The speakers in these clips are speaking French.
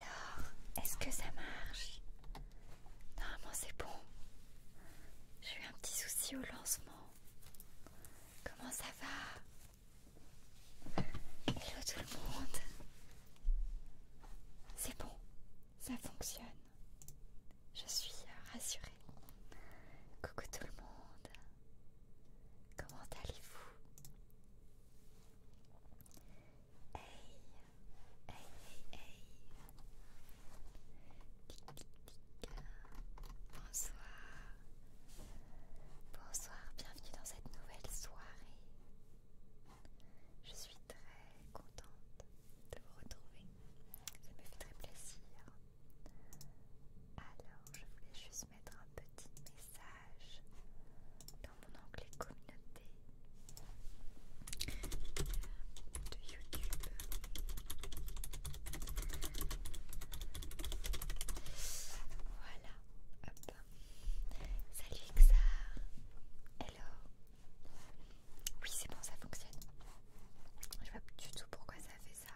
Alors, est-ce que ça marche Normalement c'est bon. J'ai eu un petit souci au lancement. Comment ça va Hello tout le monde. C'est bon, ça fonctionne. Je suis rassurée. Coucou tout le monde. Comment allez-vous Hey, hey, hey. Bonsoir. Bonsoir, bienvenue dans cette nouvelle soirée. Je suis très contente de vous retrouver. Ça me fait très plaisir. Alors, je voulais juste mettre un petit message dans mon onglet communauté de YouTube. Voilà. Hop. Salut Xar. Hello. Oui, c'est bon, ça fonctionne. Je vois du tout pourquoi ça fait ça.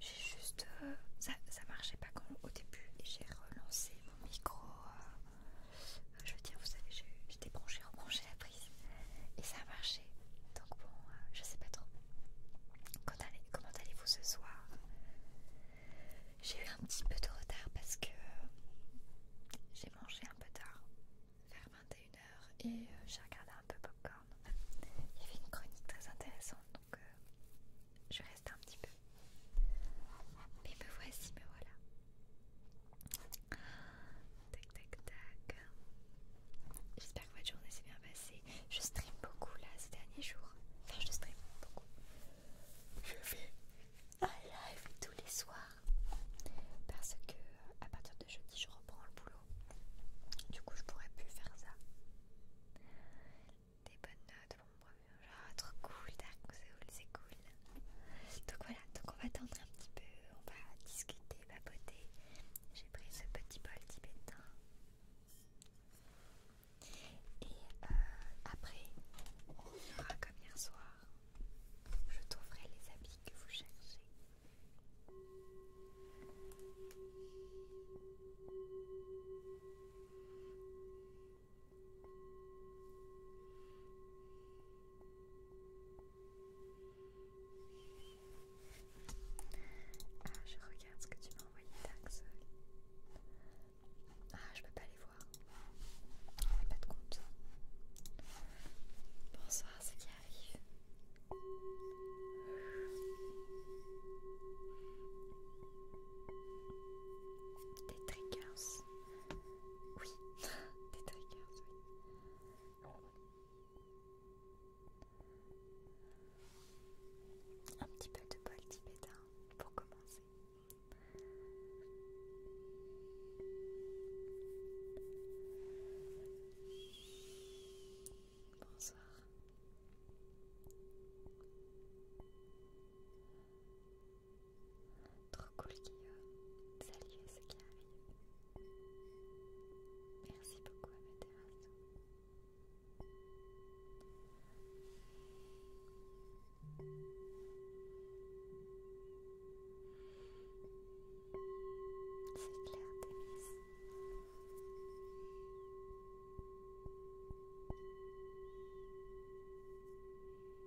J'ai juste. Euh, ça, marchait pas comme au début et j'ai relancé mon micro euh, je veux dire, vous savez, j'ai débranché, rebranché la prise et ça a marché. Donc bon, euh, je sais pas trop. comment allez-vous ce soir J'ai eu un petit peu de retard parce que euh, j'ai mangé un peu tard, vers 21h, et euh, j'ai regardé un peu Popcorn. Il y avait une chronique très intéressante, donc je reste un petit peu mais me voici, me voilà. Tac tac tac. J'espère que votre journée s'est bien passée. Je stream beaucoup là ces derniers jours. Enfin, je stream beaucoup. Je fais un live tous les soirs. Parce que à partir de jeudi, je reprends le boulot. Du coup, je pourrais plus faire ça des bonnes notes pour trop cool, Dark c'est cool. Donc voilà, donc on va attendre un petit peu, on va discuter, papoter. J'ai pris ce petit bol tibétain. Et euh, après, on fera comme hier soir. Je trouverai les habits que vous cherchez. Ah, je regarde ce que tu m'as envoyé, Dax. Ah, je peux pas les voir. On pas de compte. Bonsoir, c'est qui arrive. Des triggers. Oui, des triggers, Un petit peu de bol tibétain pour commencer. Bonsoir. Trop cool Guillaume. Salut à ceux qui arrivent. Merci beaucoup à ma terrasse. C'est clair, Demis.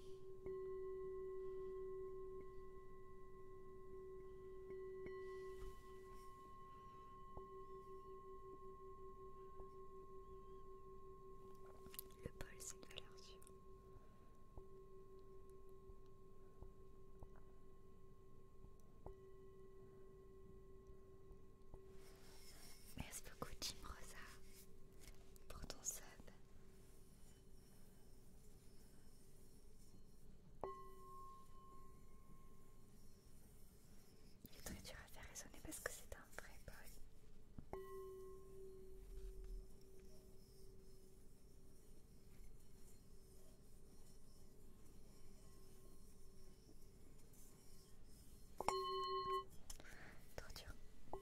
Le bol, c'est une valeur sûre. Merci beaucoup Jim Rosa pour ton sub. Il est très dur à faire résonner parce que c'est un vrai bol. Trop dur.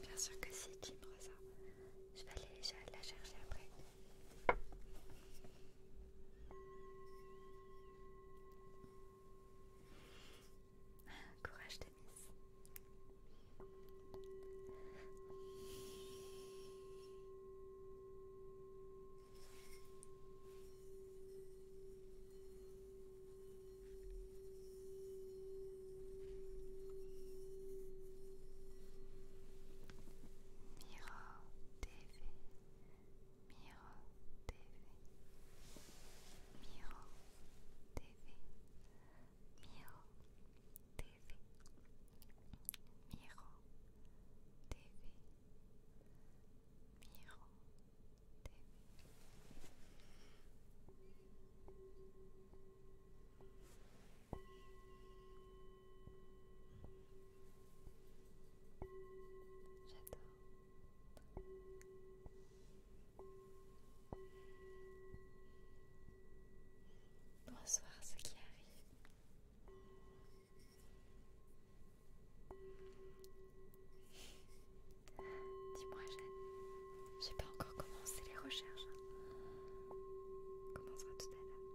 Bien sûr que c'est qui ça. Je vais aller la chercher après. Ah, courage, Demis. Miro TV Miro TV Miro TV Miro TV Miro TV Miro TV J'adore Bonsoir ce qui arrive. Dis-moi Jeanne, j'ai pas encore commencé les recherches. On hein. commencera tout à l'heure.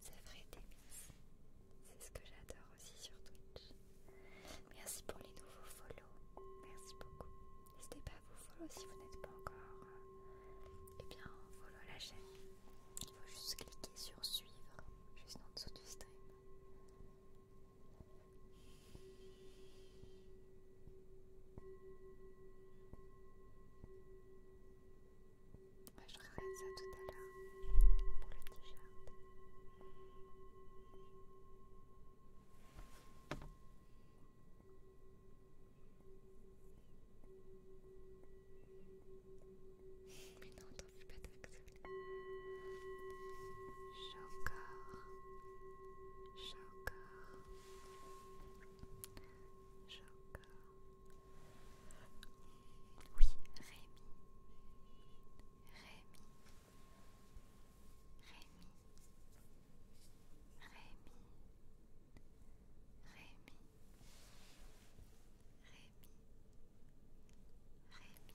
C'est vrai, Demis. C'est ce que j'adore aussi sur Twitch. Merci pour les nouveaux follow. Merci beaucoup. N'hésitez pas à vous follow si vous n'êtes pas encore. et euh, eh bien, follow la chaîne. Il faut juste cliquer sur suivre, juste en dessous du stream. Bah, je regarde ça tout à l'heure pour le t-shirt. Mais non, t'en fais pas J'ai encore, j'ai encore, j'ai encore... Oui, Rémi. Rémi. Rémi. Rémi. Rémi. Rémi. Rémi. Rémi.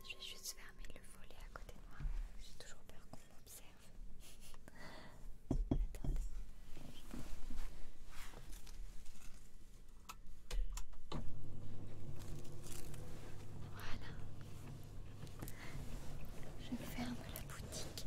Je vais juste fermer le volet à côté de moi. J'ai toujours peur qu'on m'observe. Attendez. Voilà. Je ferme la boutique.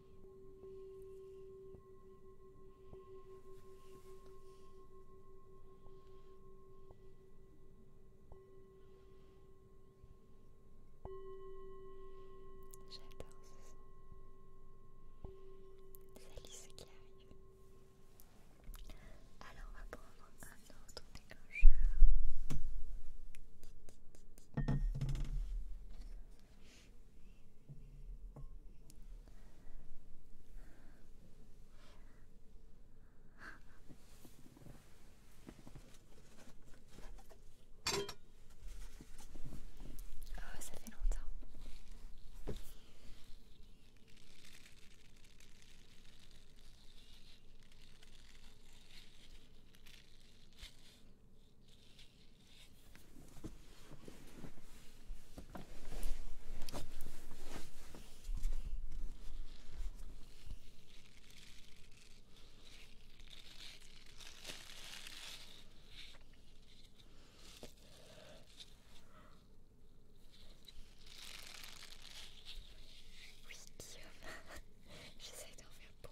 J'adore ce son. Salut ce qui arrive. Alors on va prendre un autre déclencheur. Oh, ça fait longtemps. Oui, Guillaume, j'essaie d'en faire pour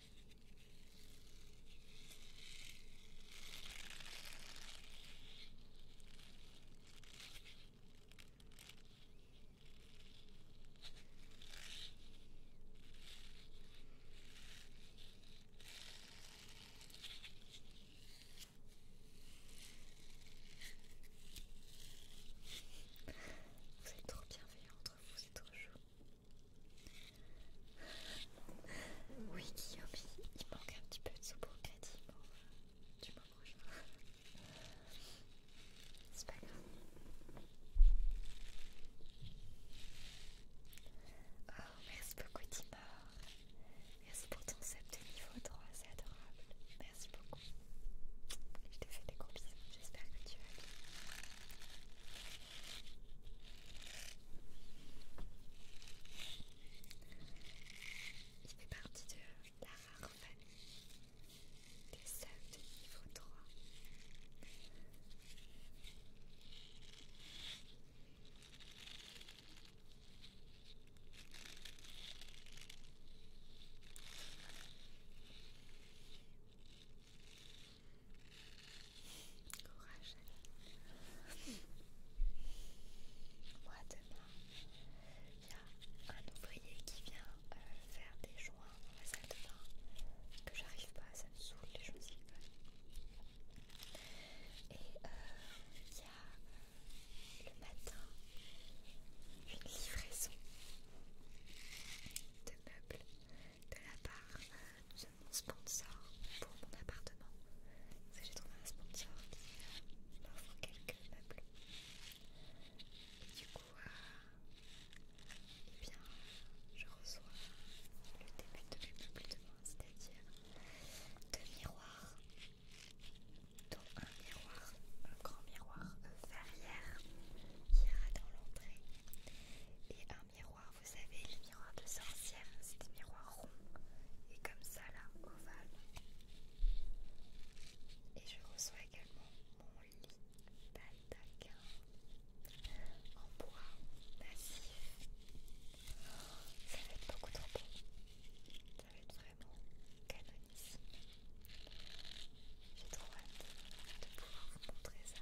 Vous êtes trop bienveillants entre vous, c'est trop chou oui, Guillaume, il manque un petit peu de sous pour crédit. tu m'en C'est pas grave. Oh, merci beaucoup, Timor. Merci pour ton set de niveau 3, c'est adorable. Merci beaucoup. Je te fais des gros bisous, j'espère que tu vas bien. Il fait partie de la rare famille des seuls de niveau trois. Courage. Moi demain, il y a un ouvrier qui vient euh, faire des joints dans la salle de bain que j'arrive pas, ça me saoule les choses. Et euh, il y a euh, le matin une livraison de meubles de la part de mon sponsor pour mon appartement. J'ai trouvé un sponsor qui euh, m'offre quelques meubles. Et du coup, euh, eh je reçois le début de mes meubles demain, c'est-à-dire deux miroirs, dont un miroir, un grand miroir euh, verrière qui ira dans l'entrée, et un miroir vous savez, le miroir de sorcière, c'est des miroir rond et comme ça là, ovale. Et je reçois également mon lit d'attaque en bois massif. Ça va être beaucoup trop beau. Ça va être vraiment canonissime. J'ai trop hâte de pouvoir vous montrer ça.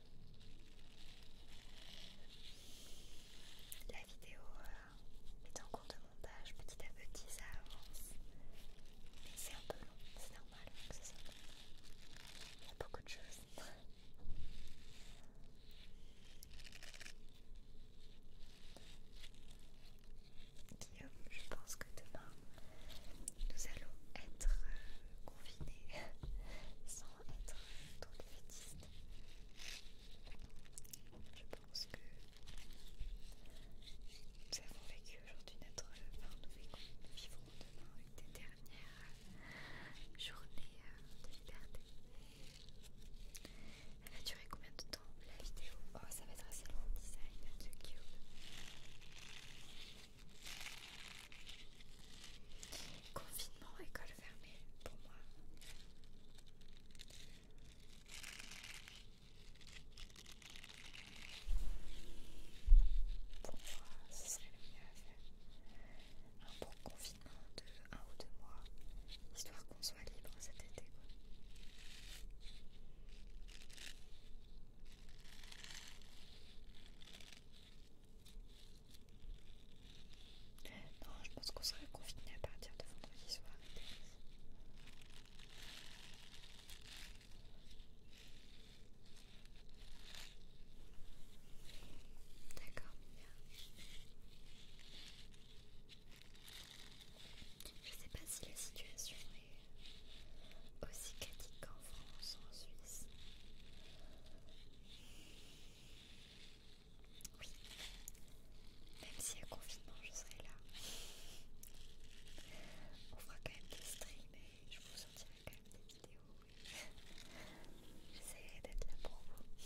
La vidéo euh, est en cours de montage, petit à petit ça avance. c'est un peu long, c'est normal Il y a beaucoup de choses. Guillaume, je pense que demain nous allons être euh, confinés sans être dans les Je pense que nous avons vécu aujourd'hui notre. Enfin, nous, vécu, nous vivrons demain une des dernières journées euh, de liberté. Elle a duré combien de temps la vidéo Oh, ça va être assez long, design de Cube. Confinement, école fermée pour moi. Pour moi, ce serait le mieux Un bon confinement de un ou deux mois, histoire qu'on soit libre cet été. Non, je pense qu'on sera confiné à partir de vendredi soir. D'accord, bien. Je sais pas si la situation est aussi critique qu'en France ou en Suisse. Oui, même si à confinement, je serai là. On fera quand même des streams et je vous sortirai quand même des vidéos. J'essaierai d'être là pour vous.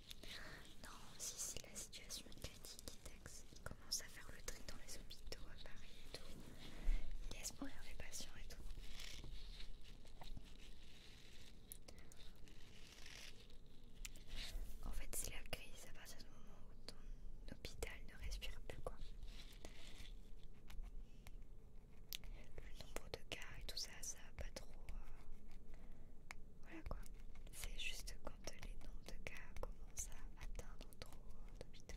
Non, si, si la situation est critique, commence à faire le tri dans les hôpitaux à Paris et tout. Il laisse mourir les patients et tout. En fait, c'est la crise à ce moment où ton hôpital ne respire plus, quoi. Le nombre de cas et tout ça, ça va pas trop. Euh, voilà quoi. C'est juste quand les noms de cas commencent à atteindre trop d'hôpitaux.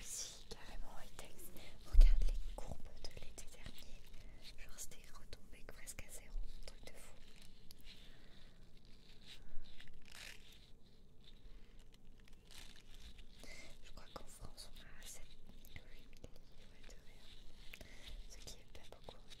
Aussi, carrément high texte regarde les courbes de l'été dernier. Genre, retombé presque à zéro, truc de fou. Je crois qu'en France on a 7 ce qui est pas beaucoup en effet.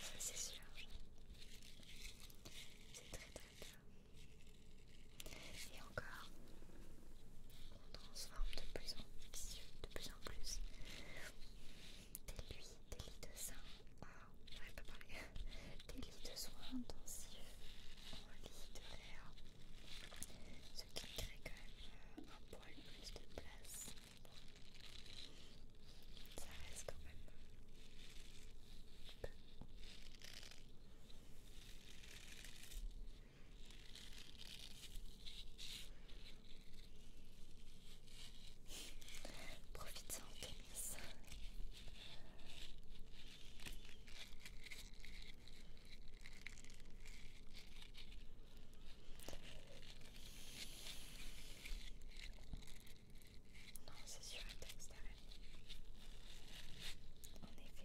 Ça c'est sûr. C'est très très bien. Et encore, on transforme de plus en plus, de plus en plus. Des lits, des lits de soins ah, à Des lits de soins intensifs en lits de l'air. Ce qui crée quand même euh, un poil plus de place ça reste quand Profite-en, Thomas. Non, c'est sur un texte En effet.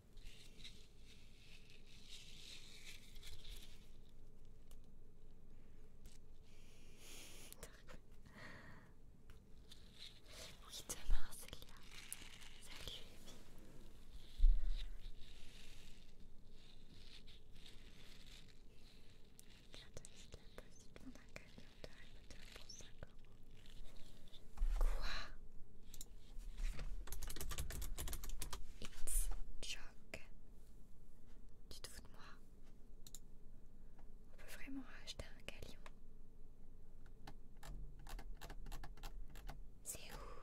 Oui, demain, Célia. Salut, Evie. il a possiblement un camion de Quoi It's joke. Tu te fous de moi On peut vraiment acheter un galion. C'est où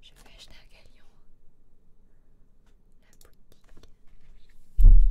Je vais acheter un galion. La boutique.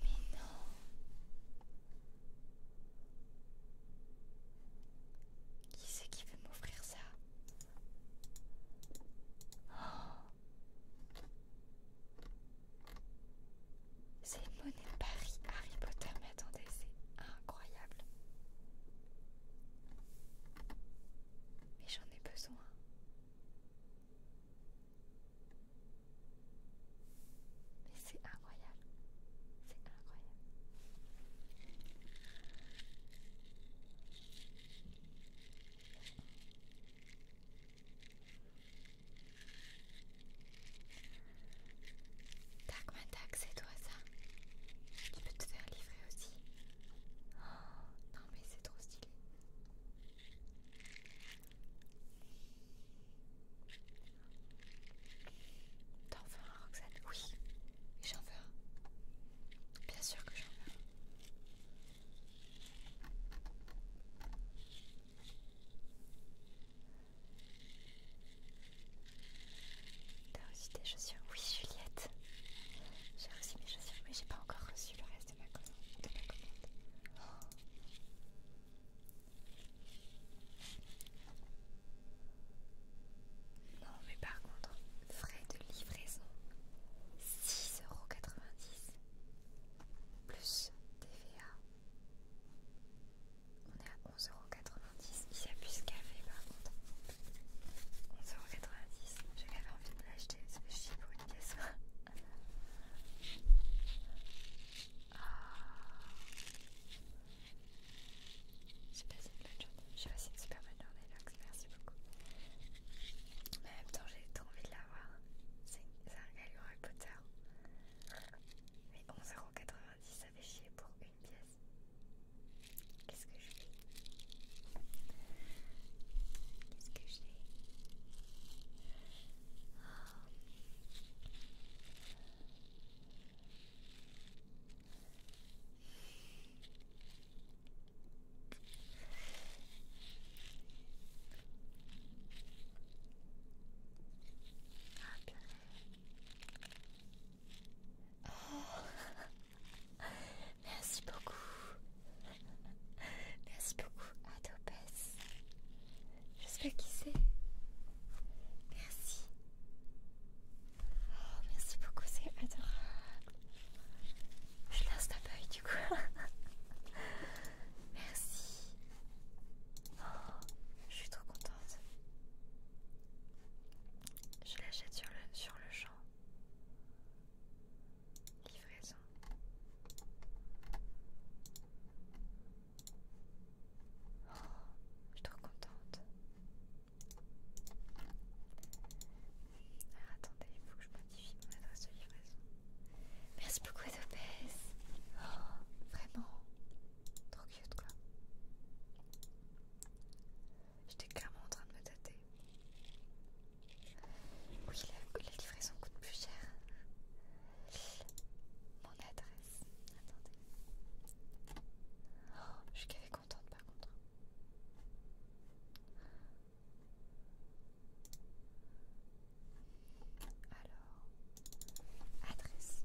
Mais non. Qui c'est qui veut m'offrir ça C'est oh une monnaie Paris Harry Potter, mais attendez, c'est incroyable. Mais j'en ai besoin. Mais c'est incroyable. C'est incroyable. Tac, ma tac, c'est toi ça. Tu peux te faire livrer aussi. Oh, non mais c'est trop stylé. T'en veux un, Roxane Oui, j'en veux un. Bien sûr que j'en veux T'as reçu tes chaussures Oui, Juliette. J'ai reçu mes chaussures, mais j'ai pas encore reçu le reste de ma commande. Non mais par contre, frais de livraison 6,90€ plus TVA. On est à 11,90€. Il y a plus café par contre. 11,90€. J'avais envie de l'acheter, c'est chier pour une pièce. J'ai passé une journée. une super bonne journée, Merci beaucoup. Mais en même temps, j'ai trop envie de l'avoir. C'est un Harry Potter. Mais 11,90€, ça fait chier pour une pièce. Qu'est-ce que je fais Qu'est-ce que je l'ai ah, Merci beaucoup Merci beaucoup, Adopès Je sais pas qui c'est. Merci. Oh, merci beaucoup, c'est adorable. Je lance ta du coup. merci. Oh, je suis trop contente. Je l'achète sur le, sur le champ. Livraison. Oh, je suis trop contente. Ah, attendez, il faut que je modifie mon adresse de livraison. Merci beaucoup, Adopes. Oh, vraiment. Trop cute, quoi. J'étais clairement en train de me tâter. Oui, la, livraison coûte plus cher. Mon adresse. Attendez. Oh, je suis qu'avec contente par contre. Alors, adresse.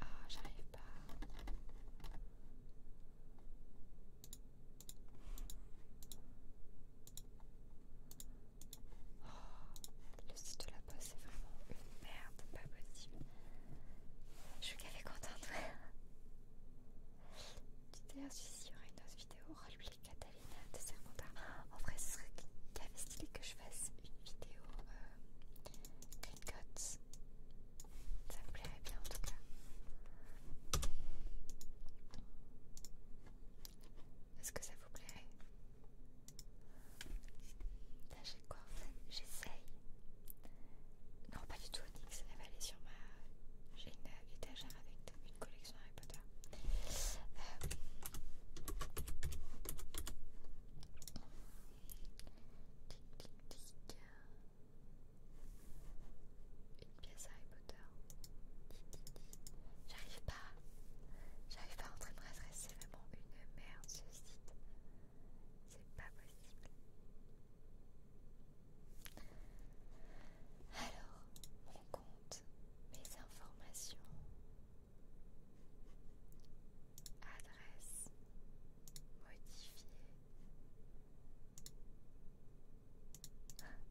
Ah, j'arrive pas. Oh, le site de la poste c'est vraiment une merde, pas possible. Je suis qu'avec contente. tu d'ailleurs si y aurait une autre vidéo roleplay Catalina de Serpentard. En vrai, ce serait qu'avait stylé que je fasse une vidéo euh, Green Ça me plairait bien en tout cas. Est-ce que ça vous plairait j'ai quoi J'essaye. Non pas du tout Onyx, elle aller sur ma... J'ai une étagère avec une collection Harry Potter. Euh, tic, tic, tic. Une pièce Harry Potter. J'arrive pas pas. J'arrive pas à entrer mon adresse, c'est vraiment une merde ce site. C'est pas possible. Alors, mon compte, mes informations, adresse, modifiée. Ah, putain, c'est incroyable.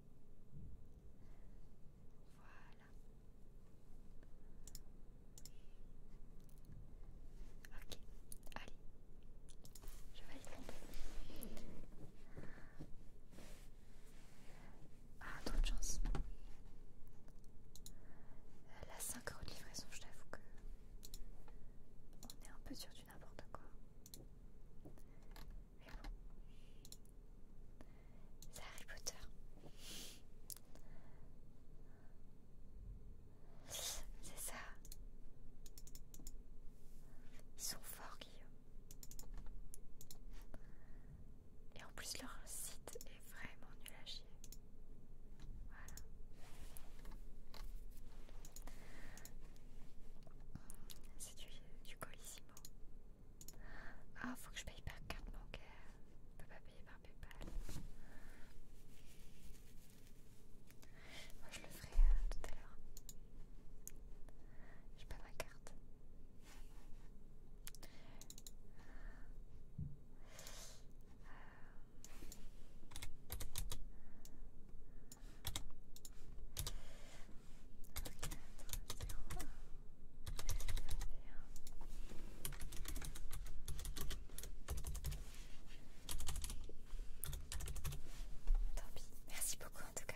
Voilà. Ok, allez, je vais y tomber. Ah, trop de chance. Euh, la 5 de livraison, je t'avoue que on est un peu sur du n'importe quoi mais bon. C'est Harry Potter. C'est ça. Ils sont forts, Guillaume. Et en plus, leur site est vraiment nul à chier. Voilà. C'est du, du colissimo. Ah, faut que je paye par carte bancaire. Je peux pas payer par PayPal. Moi, je le ferai euh, tout à l'heure. J'ai pas ma carte. Tant pis, merci beaucoup en tout cas.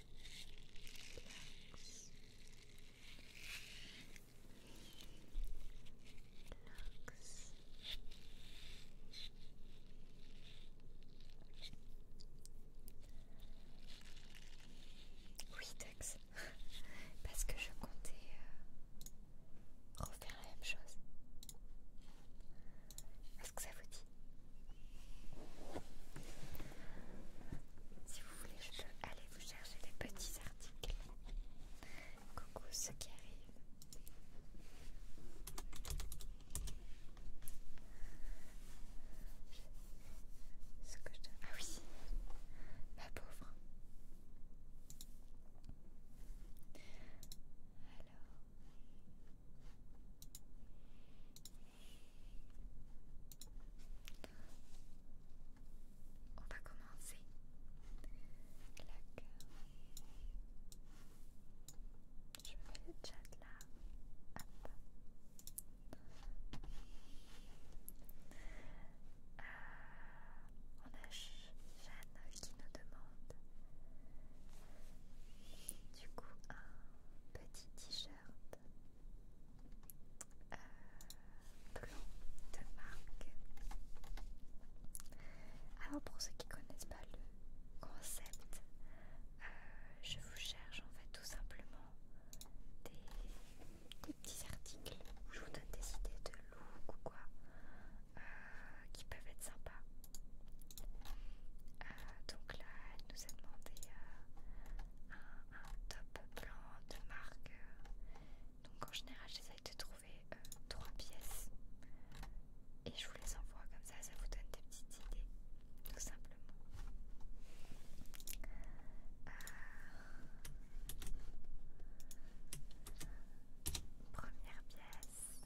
Relax. Oui, parce que je comptais euh, refaire la même chose. Est-ce que ça vous dit si vous voulez, je aller vous chercher des petits articles. Coucou ce qui arrive. Ce que je Ah oui, ma pauvre. Alors. On va commencer. Je mets le chat là. Euh, on a Jeanne qui nous demande du coup petit t-shirt euh, blanc de marque. Alors pour ceux qui connaissent pas le concept, euh, je vous cherche en fait tout simplement des, petits articles où je vous donne des idées de look ou quoi euh, qui peuvent être sympas euh, donc là, elle nous a demandé euh, un, top blanc de marque. Donc en général, j'essaye de trouver euh, trois pièces et je vous les envoie comme ça, ça vous donne des petites idées, tout simplement. Première pièce.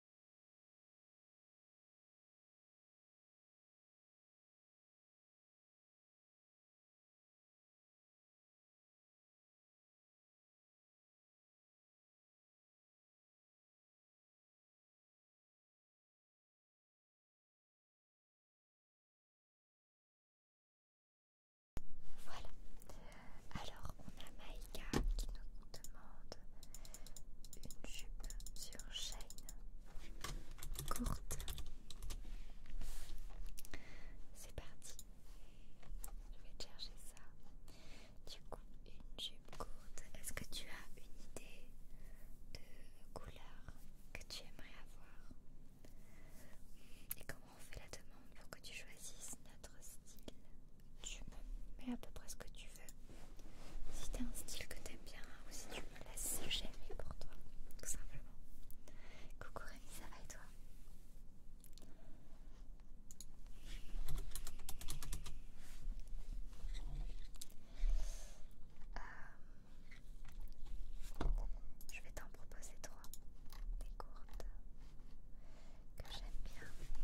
Voilà. Alors on a Maika qui nous demande une jupe sur chaîne courte. C'est parti. Je vais te chercher ça. Du coup, une jupe courte. Est-ce que tu as une idée de couleur que tu aimerais avoir Et comment on fait la demande pour que tu choisisses notre style Tu me mets à peu près ce que tu tu veux. Si t'as un style que t'aimes bien ou si tu me laisses, j'ai aimé pour toi, tout simplement. Coucou Rémi, ça va et toi euh, Je vais t'en proposer trois, des courtes que j'aime bien.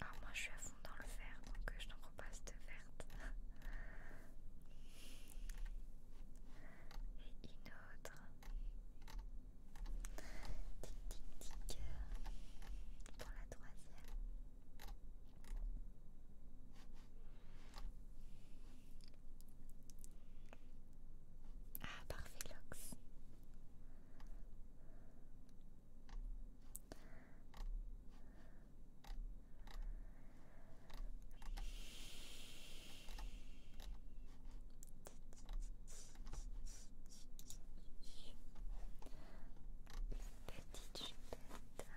Alors ah, moi je suis à fond dans le vert, donc euh, je n'en repasse de verte. Et une autre. Tic tic tic. Pour la troisième. Ah, parfait, Lox. Petite chupette. Hop.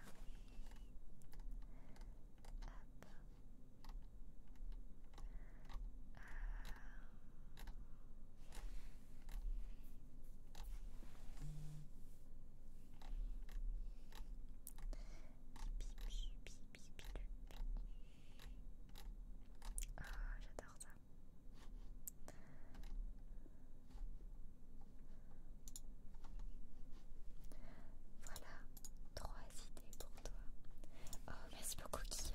Ah, j'adore ça. Voilà, Oh, merci beaucoup, Kia.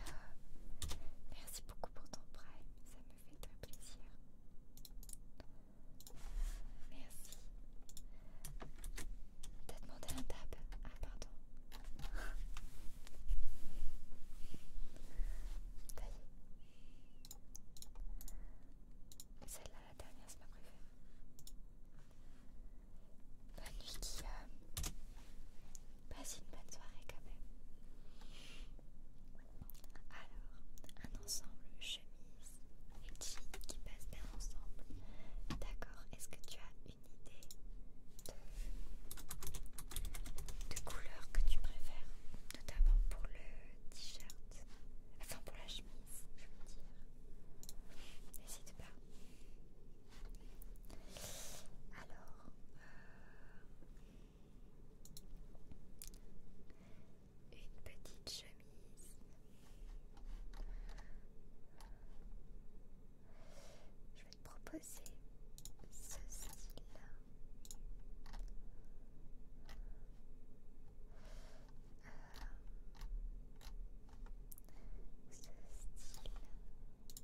Merci beaucoup pour ton prêt. ça me fait très plaisir. Merci. T'as demandé un table, Ah, pardon. Ça Celle-là, la dernière, c'est ma préférée. Bonne nuit, Guillaume. Passe une bonne soirée quand même. Alors, un ensemble chemise et jeans qui passent bien ensemble. D'accord, est-ce que tu as une idée de, de couleur que tu préfères Notamment pour le t-shirt, enfin pour la chemise, je veux dire. N'hésite pas. Alors, une petite chemise. Je vais te proposer ce là euh, ce style.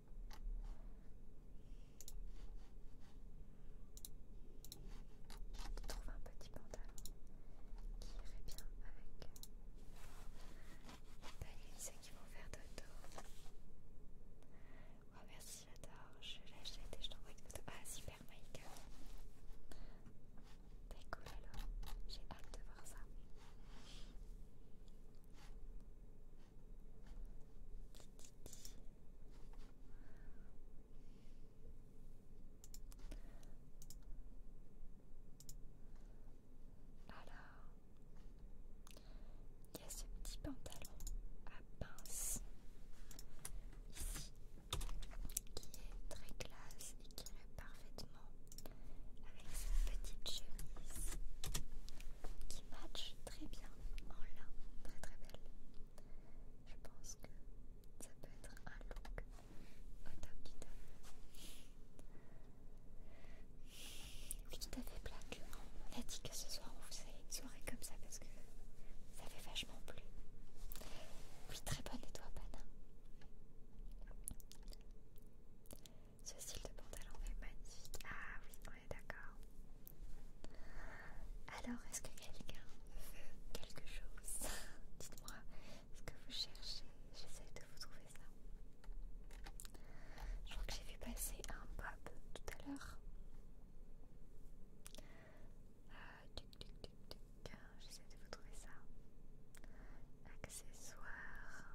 Je trouve un petit pantalon qui irait bien avec ta c'est qui vont faire dodo. Oh merci, j'adore. Je l'achète et je t'envoie une photo. Ah, super, Michael T'es cool alors. J'ai hâte de voir ça. Alors, il y a ce petit pantalon à pince ici qui est très classe et qui est parfaitement avec cette petite chemise qui match très bien en lin, très très belle. Je pense que ça peut être un look au top du top. Oui, tout à On a dit que ce soir on faisait une soirée comme ça parce que ça fait vachement plu. Oui, très bonne les toi, Pana. Ce style de pantalon est magnifique. Ah oui, on est d'accord. Alors, est-ce que quelqu'un veut quelque chose Dites-moi ce que vous cherchez. J'essaie de vous trouver ça. Je crois que j'ai vu passer un pop tout à l'heure. duc. Euh, J'essaie de vous trouver ça accessoires.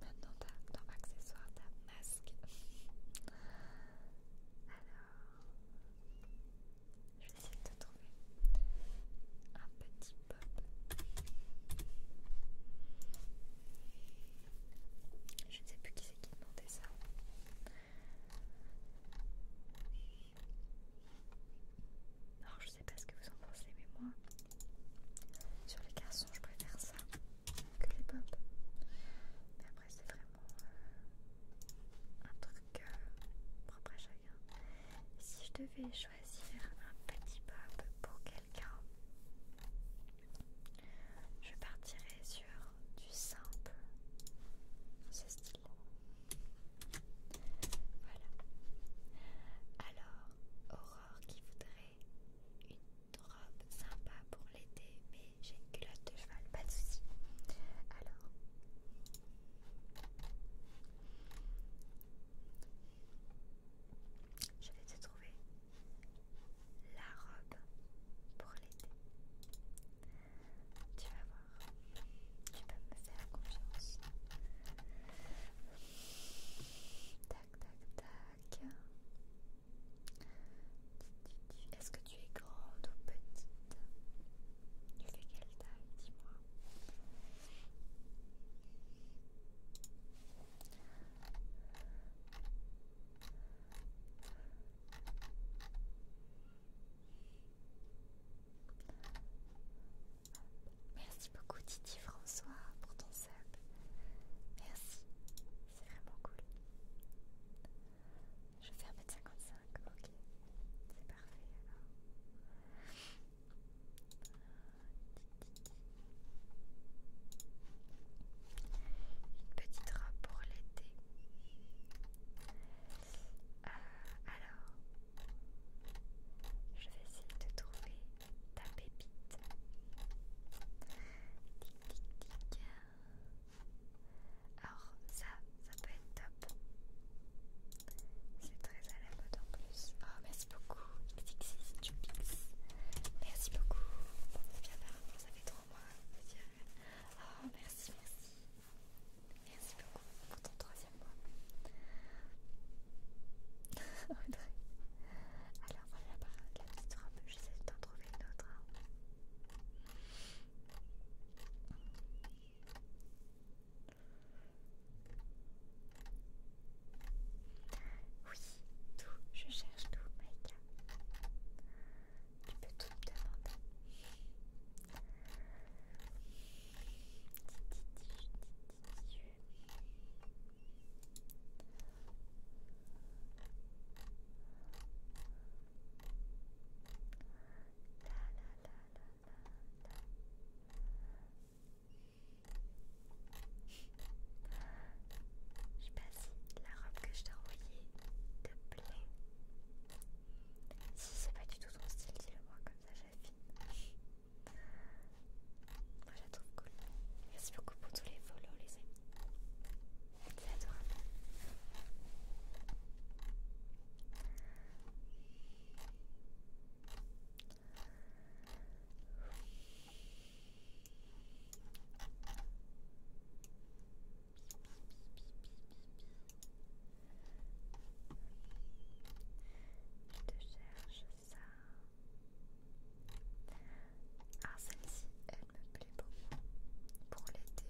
Maintenant, t'as, dans accessoires, t'as masque. Alors, je vais essayer de te trouver un petit pop. Je ne sais plus qui c'est qui demandait ça. non je je sais pas ce que vous en pensez, mais moi, sur les garçons, je préfère ça que les pop. Mais après, c'est vraiment euh, un truc euh, propre à chacun. Si je devais choisir un petit pop pour quelqu'un, je partirais sur du simple, ce style. Voilà. Alors, Aurore qui voudrait une robe sympa pour l'été, mais j'ai une culotte de cheval, pas de soucis. Alors. Je vais te trouver la robe pour l'été. Tu vas voir. Tu peux me faire confiance. Tac, tac, tac. Est-ce que tu es grande ou petite Tu fais quelle taille, dis-moi Merci beaucoup Titi François pour ton sub. Merci, c'est vraiment cool. Je fais 1m55, ok, c'est parfait alors. Une petite robe pour l'été. Euh, alors, je vais essayer de trouver ta pépite. Tic tic tic. Alors ça, ça peut être top. C'est très à la mode en plus. Oh merci beaucoup. Merci beaucoup. bien ça fait trois mois. Oh merci, merci. Merci beaucoup pour ton troisième alors voilà la, la petite robe, j'essaie t'en trouver une autre. Oui, tout, je cherche tout, Maïka. Tu peux tout me demander. Je sais pas si la robe que je t'ai envoyée te plaît. Si c'est pas du tout ton style, dis-le moi comme ça j'affine. Moi je la trouve cool. Merci beaucoup pour tous les follow les amis. C'est adorable. Je te cherche ça. Ah, celle-ci, elle me plaît beaucoup. Pour l'été,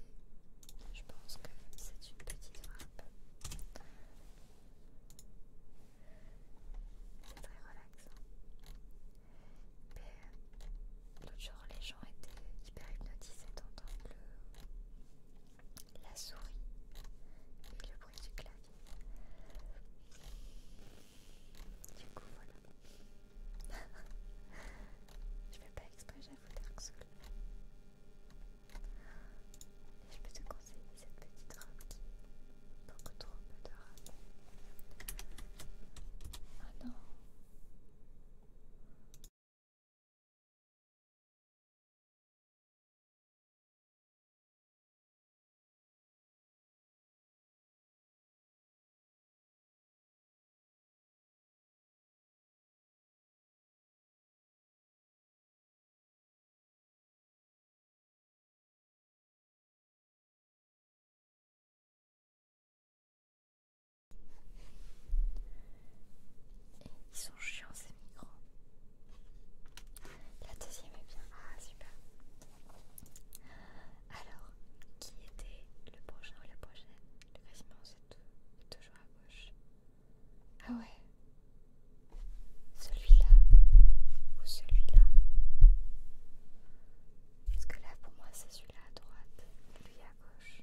je pense que c'est une petite frappe. C'est très relaxant. Mais euh, toujours les gens étaient hyper hypnotisés d'entendre la souris et le du coup, voilà. je vais pas exprimer j'avoue, Dark Et je peux te conseiller cette petite robe qui beaucoup trop peu de robe. Oh non! ils sont chiants ces migrants. La deuxième est bien. Ah, super. Alors, qui était le prochain ou la prochaine Le classement, c'est toujours à gauche. Ah ouais Celui-là ou celui-là Parce que là, pour moi, c'est celui-là à droite, lui à gauche.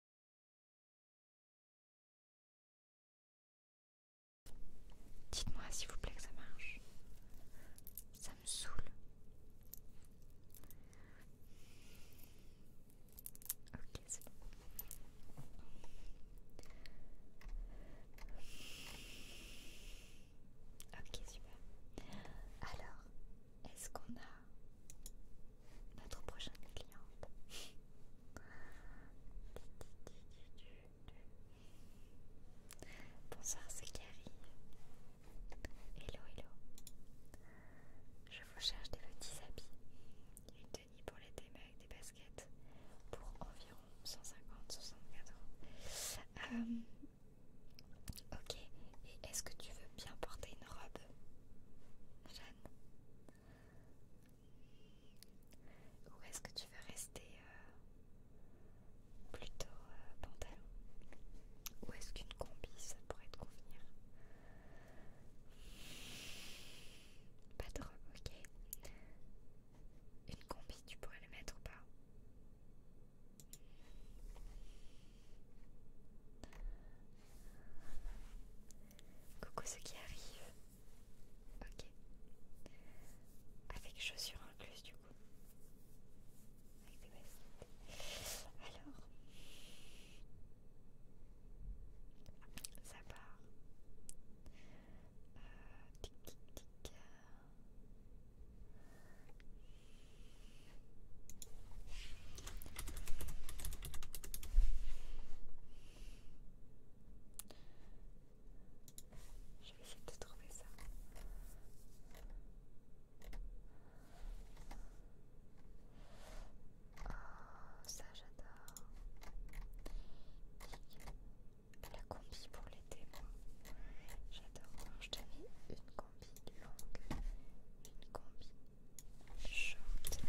Dites-moi s'il vous plaît que ça marche. Ça me saoule. Ok, c'est bon. Ok, super. Alors, est-ce qu'on a notre prochaine cliente Bonsoir, c'est Carrie. Hello, hello. Je vous cherche des petits habits. Une tenue pour les mais avec des baskets pour environ 150-64 euros. ok, et est-ce que tu veux bien porter une robe, Jeanne où est-ce que tu veux rester euh, plutôt euh, pantalon Ou est-ce qu'une combi ça pourrait te convenir Pas de robe, ok. Une combi, tu pourrais le mettre ou pas Coucou ce qui arrive. Ok. Avec chaussures incluses du coup. Avec des vestes, Alors. Ça part. Euh, tic tic je vais essayer de trouver ça. Oh, ça j'adore. La combi pour l'été, J'adore J'adore. Je te une combi longue, une combi short.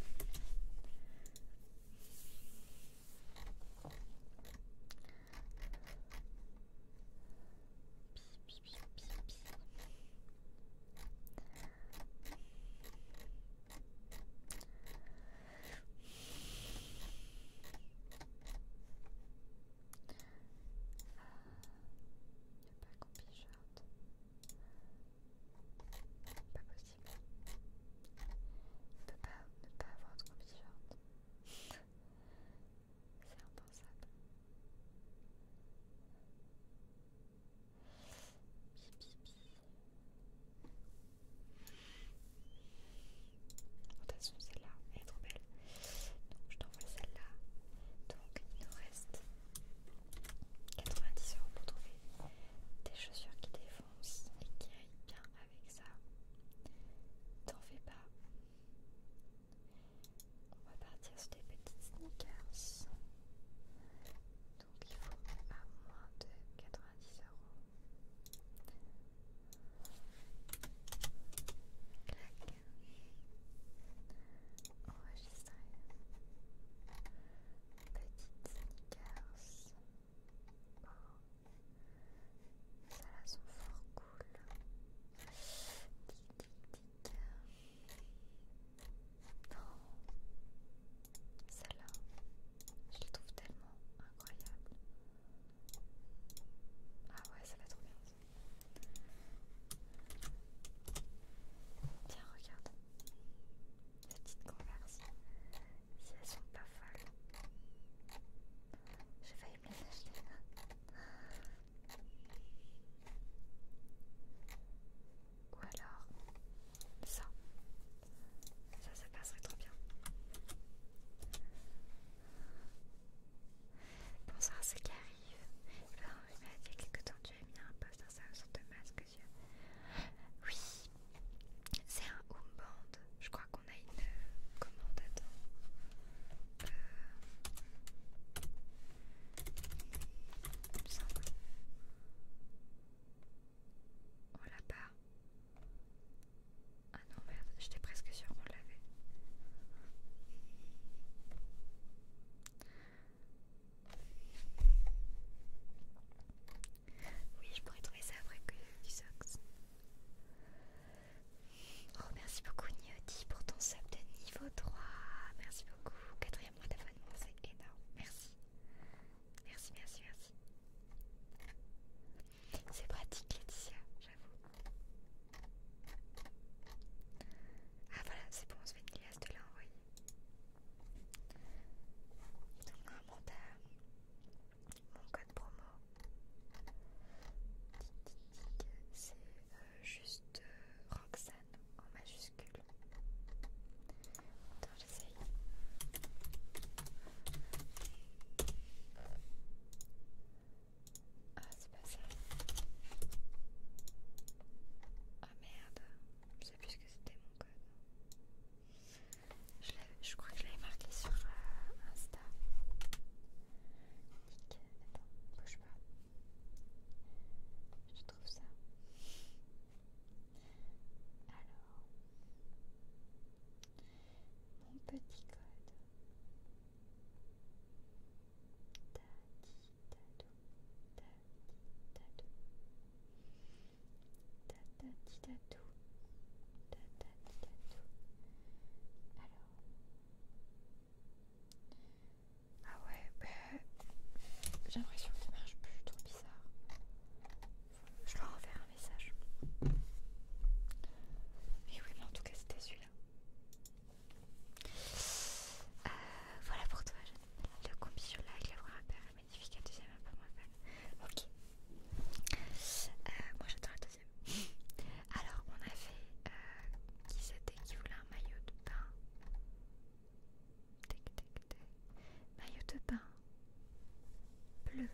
Pi, pi, il n'y a pas pas possible. On pas ne pas avoir de combi short. C'est impensable. De toute façon, celle-là, elle est trop belle. Donc, je t'envoie celle-là. Donc, il nous reste 90 euros pour trouver des chaussures qui défendent. On et qui bien avec ça. T'en fais pas. On va partir sur des petites sneakers. Donc il faut à moins de 90 euros. Clac. Enregistrer. Petites sneakers. Ça là sont fort cool. Tic tic tic. Non. Celle-là, je les trouve tellement incroyable. Ah ouais, ça va trop bien. Tiens, regarde. La petite converse. Si elles sont pas folles. vais vais me les acheter. Ou alors ça. Ça, ça passerait trop bien. Bonsoir à ceux qui arrivent. Ah il y a quelques temps, tu as mis un post sur de masque. Oui, c'est un home Je crois qu'on a une euh, commande. à temps. Euh, On l'a pas. Ah non, merde, j'étais presque sûre qu'on l'avait. Oui, je pourrais trouver ça après que du Sox. Oh, merci beaucoup, Niodi pour ton sub de niveau 3. Merci beaucoup. Quatrième mois d'abonnement, c'est énorme. Merci. Merci, merci, merci. C'est pratique, Laetitia, j'avoue. Ah, voilà, c'est bon, on se fait une glace de là, Donc, mon code promo, c'est euh, juste euh, Roxane en majuscule. Attends, j'essaye. Ah, c'est pas ça. Ah merde, je sais plus ce que c'était mon code. Je, crois que je l'avais marqué sur euh, Insta. Nickel. Attends, bouge pas. Je trouve ça. Alors, mon petit code. Tati, tadou, tati, tadou. Alors. Ah ouais, bah, j'ai l'impression que ça marche plutôt bizarre. Je en faire un message. Mais oui, mais en tout cas, c'était celui-là. voilà pour toi, j'ai Le combi sur la avec la vraie magnifique, la deuxième est un peu moins bonne. Ok. moi j'attends la deuxième. Alors on avait qui c'était qui voulait un maillot de bain. Tic, Maillot de bain bleu.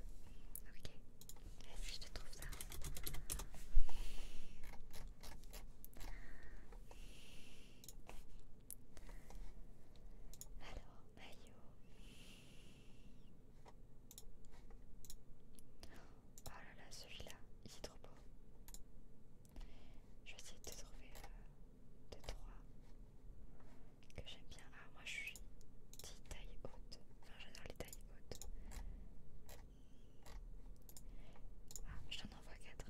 Ok. Et puis je te trouve ça. Alors, maillot. Oh là là, celui-là, il est trop beau. Je vais essayer de trouver euh, deux, trois que j'aime bien. Ah, moi je suis petite taille haute. Enfin, j'adore les tailles hautes. Ah, je t'en envoie quatre.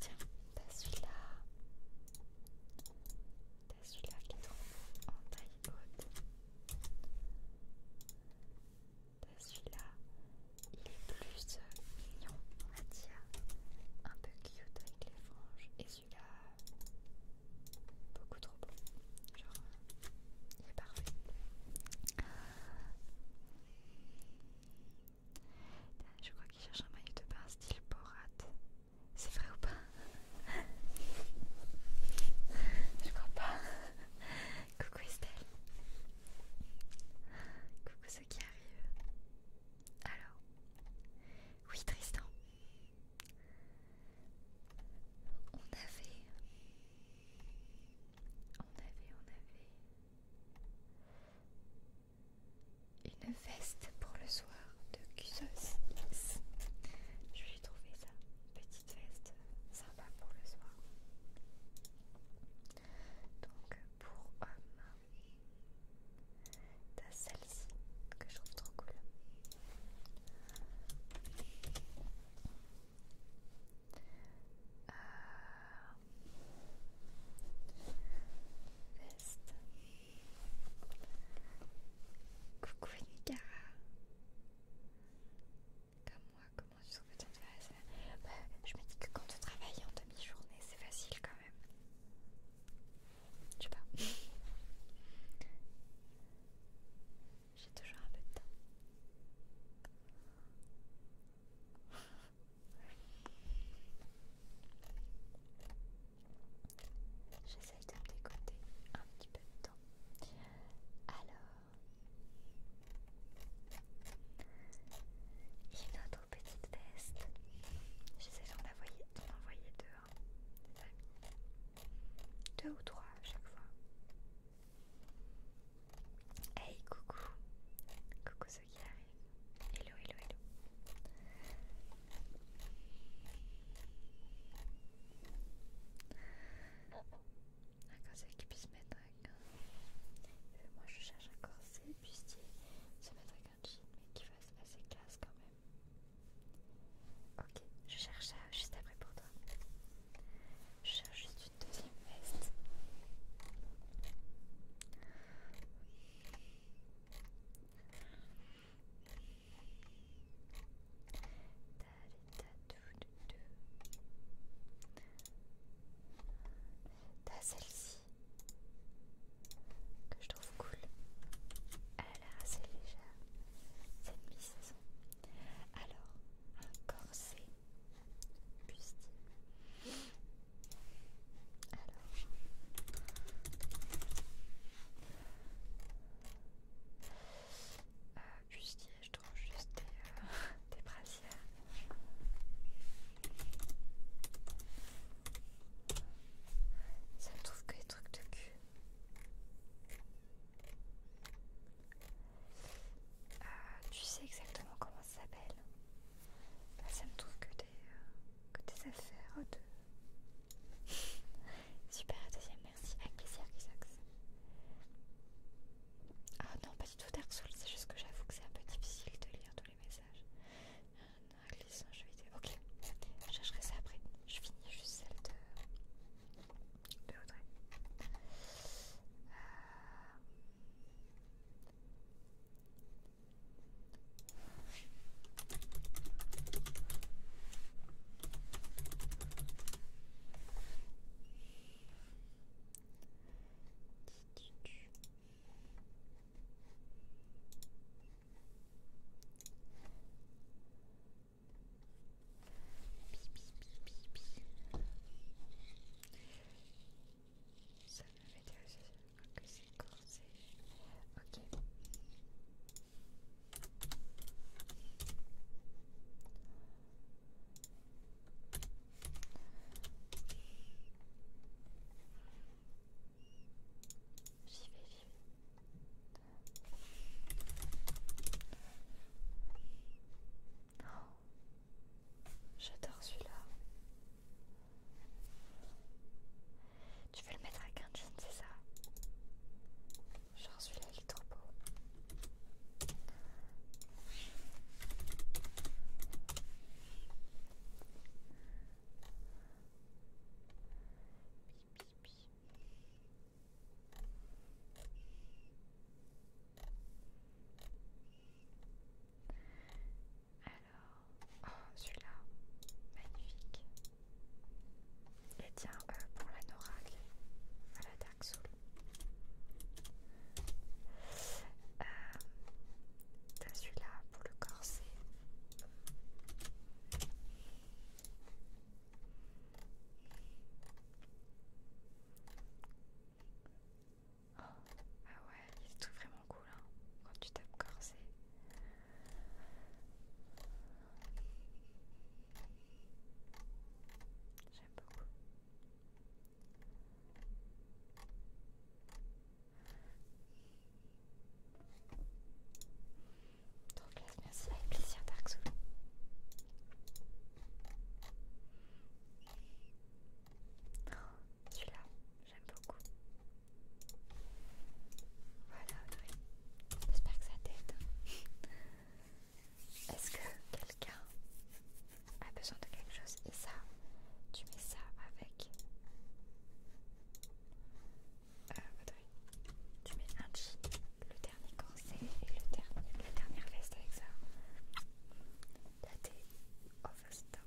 Tiens, t'as celui-là. T'as celui-là qui est trop beau en taille haute. T'as celui-là. Il est plus mignon, on va dire. Un peu cute avec les franges. Et celui-là, beaucoup trop beau. Genre, il est parfait. Je crois qu'il cherche un maillot de bain style Porate. C'est vrai ou pas Je crois pas. Coucou Estelle. Coucou ce qui arrivent. Alors. Oui Tristan. On avait... On avait, on avait une veste pour le soir de Cusos Je lui ai trouvé ça, petite veste euh, sympa pour le soir. Donc pour homme, t'as celle-ci que je trouve trop cool. Euh, Coucou Comme moi, comment tu trouves que tu bah, Je me dis que quand tu travailles en demi-journée, c'est facile quand même. Je sais pas. J'ai toujours un peu de temps. J'essaye de me décoter un petit peu de temps. Alors, une autre petite veste. J'essaie d'en envoyer, deux, hein, deux ou trois à chaque fois. Hey coucou, coucou ceux qui arrivent. Hello, hello, hello. Un corset qui puisse mettre un. moi je cherche un corset bustier, se mettre avec un jean, mais qui fasse assez classe quand même. Ok, je cherche ça juste après pour toi. Je cherche juste une deuxième veste. T'as celle-ci que je trouve cool. Elle a l'air assez légère, cette piste. Alors, un corset bustier. Euh, juste je trouve juste des, brassières. Ça me trouve que des trucs de cul. Euh, tu sais exactement comment ça s'appelle bah, Ça me trouve que des, euh, affaires de... Super, deuxième merci Avec plaisir, Ah non, pas du tout Dark c'est juste que j'avoue que c'est un peu difficile de lire tous les messages. Ah, glisse Je vais vidéo. Ok, je chercherai ça après. Je finis juste celle de, de Audrey. Euh, ça me ça c'est que c'est corsé. Ok. Oh, J'adore celui-là. Tu veux le mettre avec un jean, c'est ça Genre celui-là, il est trop beau. Alors, oh, celui-là, magnifique. Et tiens, euh, pour la voilà, à la euh, T'as celui-là pour le corset. Oh, ah ouais, c'est tout vraiment cool hein, quand tu tapes corset. J'aime beaucoup. Donc là, merci avec plaisir Dark Soul. Oh, celui-là, J'aime beaucoup. Voilà Audrey. J'espère que ça t'aide. Est-ce que quelqu'un a besoin de quelque chose Et ça, tu mets ça avec... Euh, Audrey, tu mets un le dernier corset et le dernier, la dernière veste avec ça. Là t'es over-stop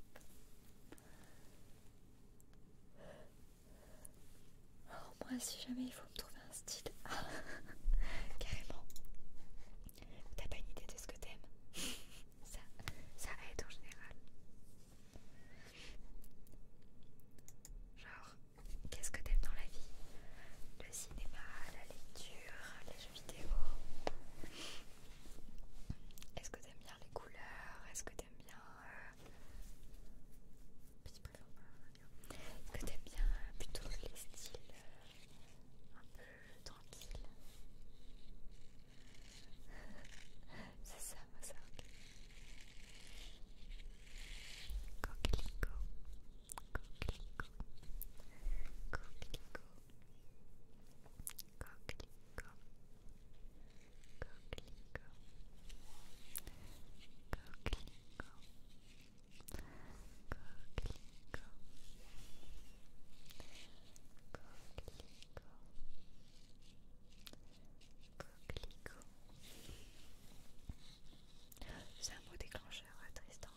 moi si jamais il faut me trouver un style. Carrément. T'as pas une idée de ce que t'aimes ça, ça aide en général. Genre, qu'est-ce que t'aimes dans la vie Le cinéma, la lecture, les jeux vidéo. Est-ce que t'aimes bien les est-ce que t'aimes bien Est-ce euh, que t'aimes bien euh, plutôt les styles euh, un peu tranquilles C'est ça, moi ça. Coquelicot, coquelicot, coquelicot. C'est un mot déclencheur, Tristan.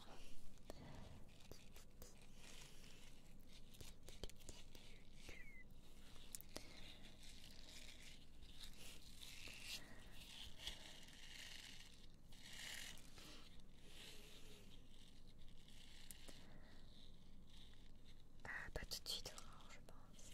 Ah, pas tout de suite, je pense.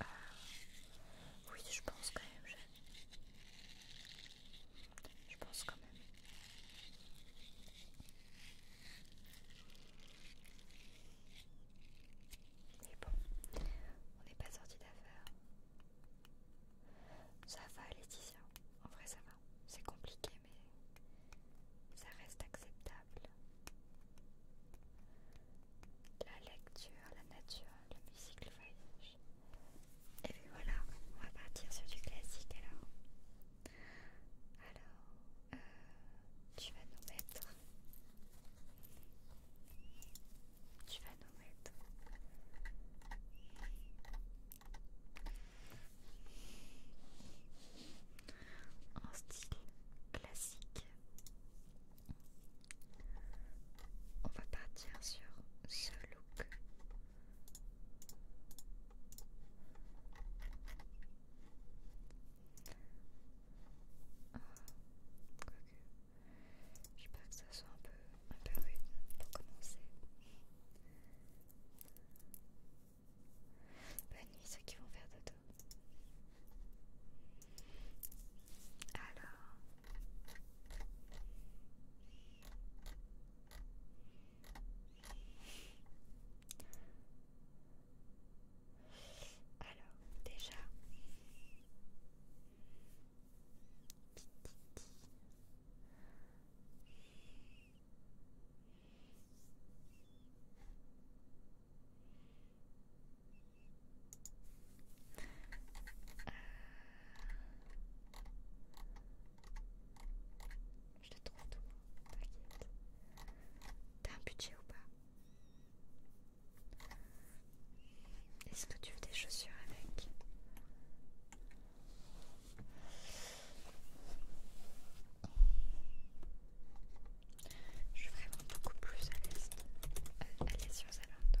Ah, oui, je pense quand même, je... pense quand même. C'est bon, on n'est pas sorti d'affaire. Ça va, Laetitia. En vrai, ça va. C'est compliqué, mais ça reste acceptable la lecture, la nature, la musique, le voyage. Et puis voilà, on va partir sur du classique alors. Alors, euh, tu vas nous mettre. Tu vas nous mettre. En style classique. On va partir sur ce look. Ah, Je sais que ça soit un peu, un peu rude pour commencer. Bonne nuit ceux qui vont faire de alors. Alors, déjà. Euh, je te trouve tout, T'as un budget ou pas Est-ce que tu veux des chaussures avec je suis vraiment beaucoup plus à l'aise à sur Zalando.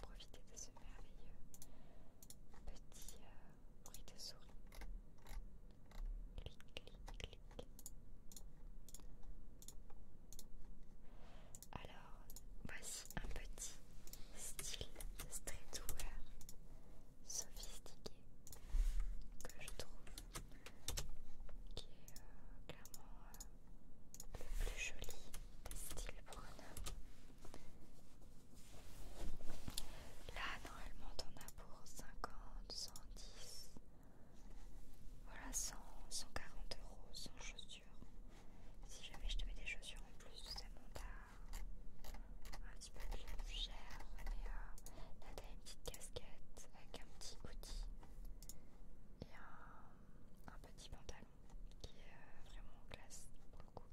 profiter de ce merveilleux petit euh, bruit de souris. Clic, clic, clic. Alors, voici un petit style streetwear sophistiqué que je trouve qui est euh, clairement euh, le plus joli des styles pour un homme Là, normalement, t'en as pour 50, 110, voilà 100, 140 euros sans chaussures. Si jamais je te mets des chaussures en plus, ça monte t'as un petit peu plus cher. Mais euh, là, t'as une petite casquette avec un petit outil et un petit pantalon qui est euh, vraiment classe pour le coup.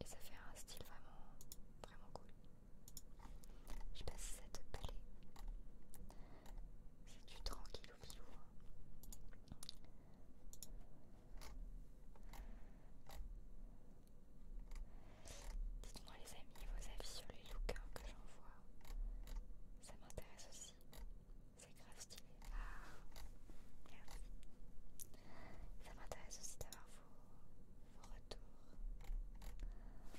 Et ça fait un style vraiment, vraiment cool. Je passe cette si ça C'est du tranquille au pilou. Hein. Dites-moi les amis vos avis sur les looks hein, que j'envoie. Ça m'intéresse aussi. C'est grave stylé. Ah, merci. Ça m'intéresse aussi d'avoir vos, retours. J'essaye de vous trouver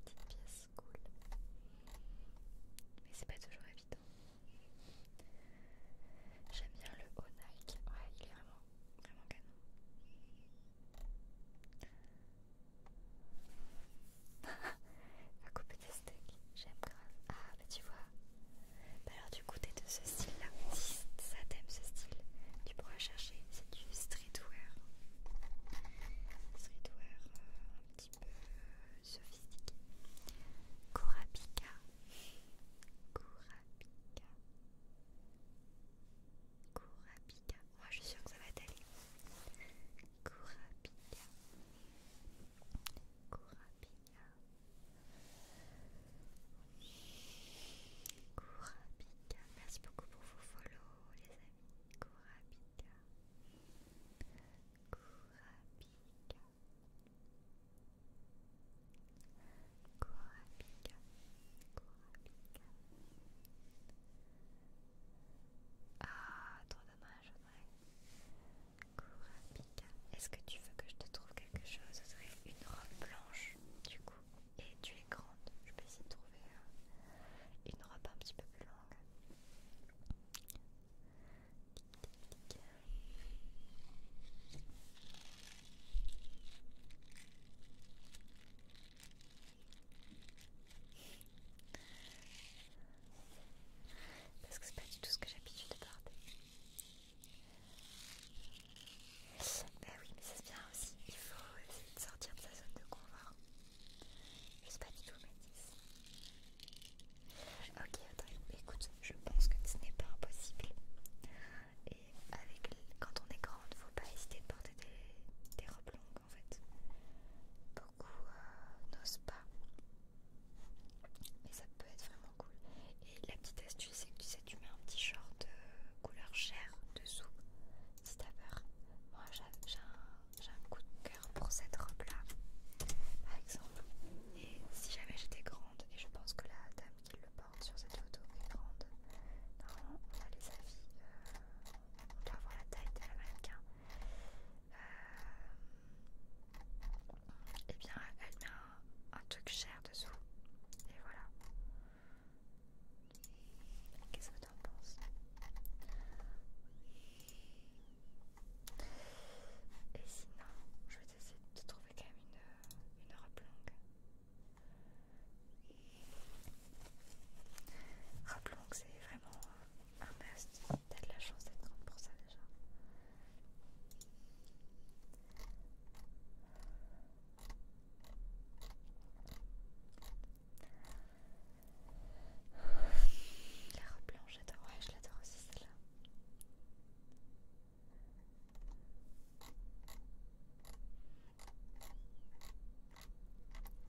des petites pièces cool. Mais c'est pas toujours évident. J'aime bien le haut Nike. Ouais, il est vraiment, vraiment canon. Va couper des steaks, j'aime grave. Ah bah tu vois. Bah, alors du coup t'es de ce style là. Si ça t'aime ce style, tu pourras chercher. C'est du streetwear. Streetwear euh, un petit peu euh, sophistiqué. Kurapika. Kurapika. Kurapika. Moi je suis sûre que ça va t'aller. Kurapika. Kurapika. Kurapika. Merci beaucoup pour vos follow les amis. Kurapika. Kurapika. Kurapika. Kurapika. Ah, trop dommage, ouais. Est-ce que tu veux que je te trouve quelque chose une robe blanche, du coup. Et tu es grande. Je peux essayer de trouver euh, une robe un petit peu plus longue. Parce que c'est pas du tout ce que j'ai l'habitude de porter. Bah oui, mais ça se vient aussi. Il faut essayer de sortir de sa zone de confort. Je sais pas du tout, Mathis. Ok, attends, écoute, je pense que ce n'est pas impossible. Et avec, quand on est grande, faut pas hésiter de porter des, des robes longues en fait. Beaucoup euh, n'osent pas. Mais ça peut être vraiment cool. Et la petite astuce, c'est que tu sais, tu mets un petit short de euh, couleur chair dessous si t'as peur. Moi j'ai un, coup de cœur pour cette robe là, par exemple. Et si jamais j'étais grande, et je pense que la dame qui le porte sur cette photo est grande, normalement on a les avis. Euh, on doit avoir la taille de la mannequin. et euh, eh bien, elle met un, truc cher dessous. Et voilà. Qu'est-ce que t'en penses Et sinon, je vais essayer de trouver quand même une, une robe longue. Rappelons que c'est vraiment un must. T'as de la chance d'être grande pour ça déjà. La robe blanche, j'adore. Ouais, je l'adore aussi celle-là.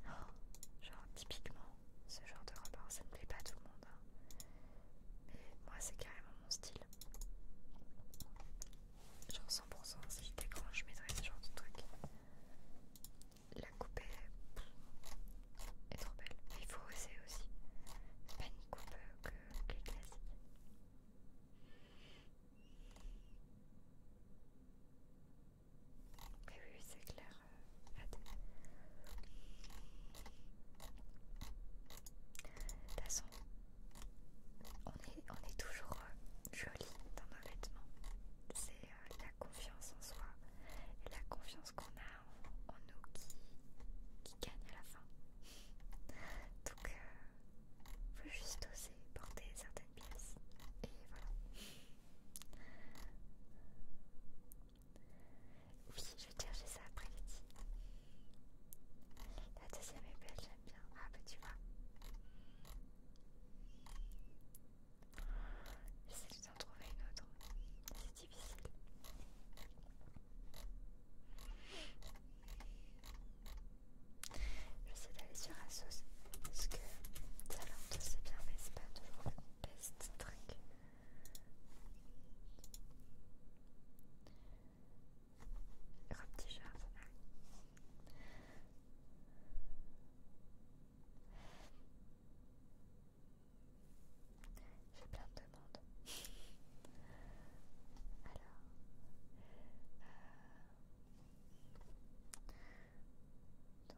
Oh, genre typiquement, ce genre de repas, ça ne plaît pas à tout le monde. Hein. Mais moi c'est carrément mon style. Genre 100% si j'étais grand, je mettrais ce genre de truc. La coupe est, trop belle. Mais il faut oser aussi. C'est pas une coupe euh, que, les classiques mais oui, c'est clair. Euh, De toute façon, on est, toujours euh, joli dans nos vêtements. C'est euh, la confiance en soi et la confiance qu'on a en, nous qui, qui gagne à la fin. Donc, il faut juste oser porter certaines pièces. Et voilà. Oui, je vais dire chercher ça après, Letty. La deuxième est belle, j'aime bien. Ah, bah tu vois. J'essaie d'en trouver une autre. C'est difficile. J'essaie d'aller sur sauce. Parce que talent c'est bien, mais c'est pas toujours le best truc. Gros petit jardin. J'ai plein de demandes. Alors. Euh,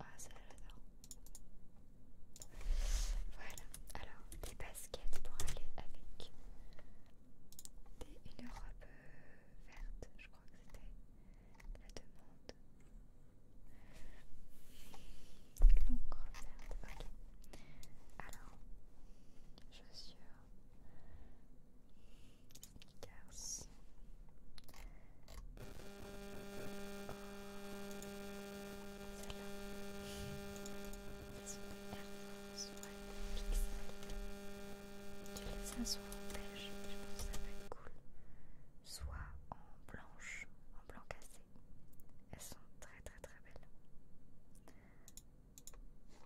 Ah, Voilà, alors des baskets pour aller avec des, une robe euh, verte, je crois que c'était la demande. L'encre verte, ok. Alors, chaussures, sneakers. Celle-là, c'est une Air France, ouais, Pixel. Tu les as souvent en beige, je pense que ça va être cool soit en blanche, en blanc cassé. Elles sont très très très belles.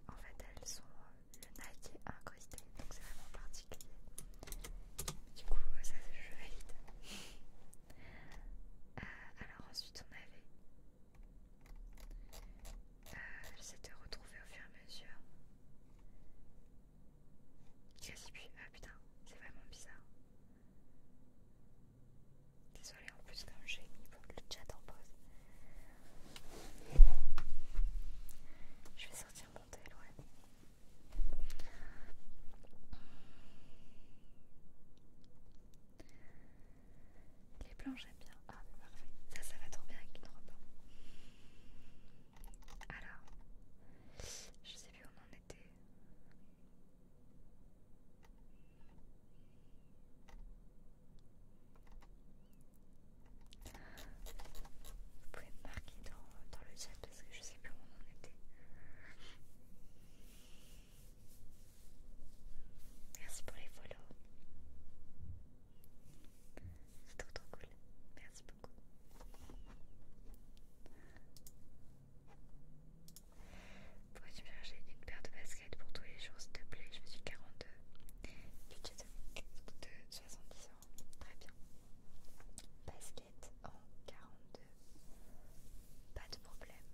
En fait, elles sont euh, le Nike est incrusté, donc c'est vraiment particulier. Du coup, euh, ça je valide. Euh, alors ensuite, on avait. Euh, J'essaie de retrouver au fur et à mesure. Ah putain, c'est vraiment bizarre. Désolée en plus comme j'ai mis le chat en pause. Je vais sortir mon téléphone. Les blanches j'aime bien. Ah c'est parfait. Ça ça va trop bien avec une robe. Alors, je sais plus où on en était. Vous pouvez me marquer dans, le chat parce que je sais plus où on en était. Merci pour les follows. C'est trop trop cool. Merci beaucoup. Pourrais-tu me chercher une paire de baskets pour tous les jours, s'il te plaît Je me suis 42. Budget de 70 ans. Très bien. Basket en 42. Pas de problème.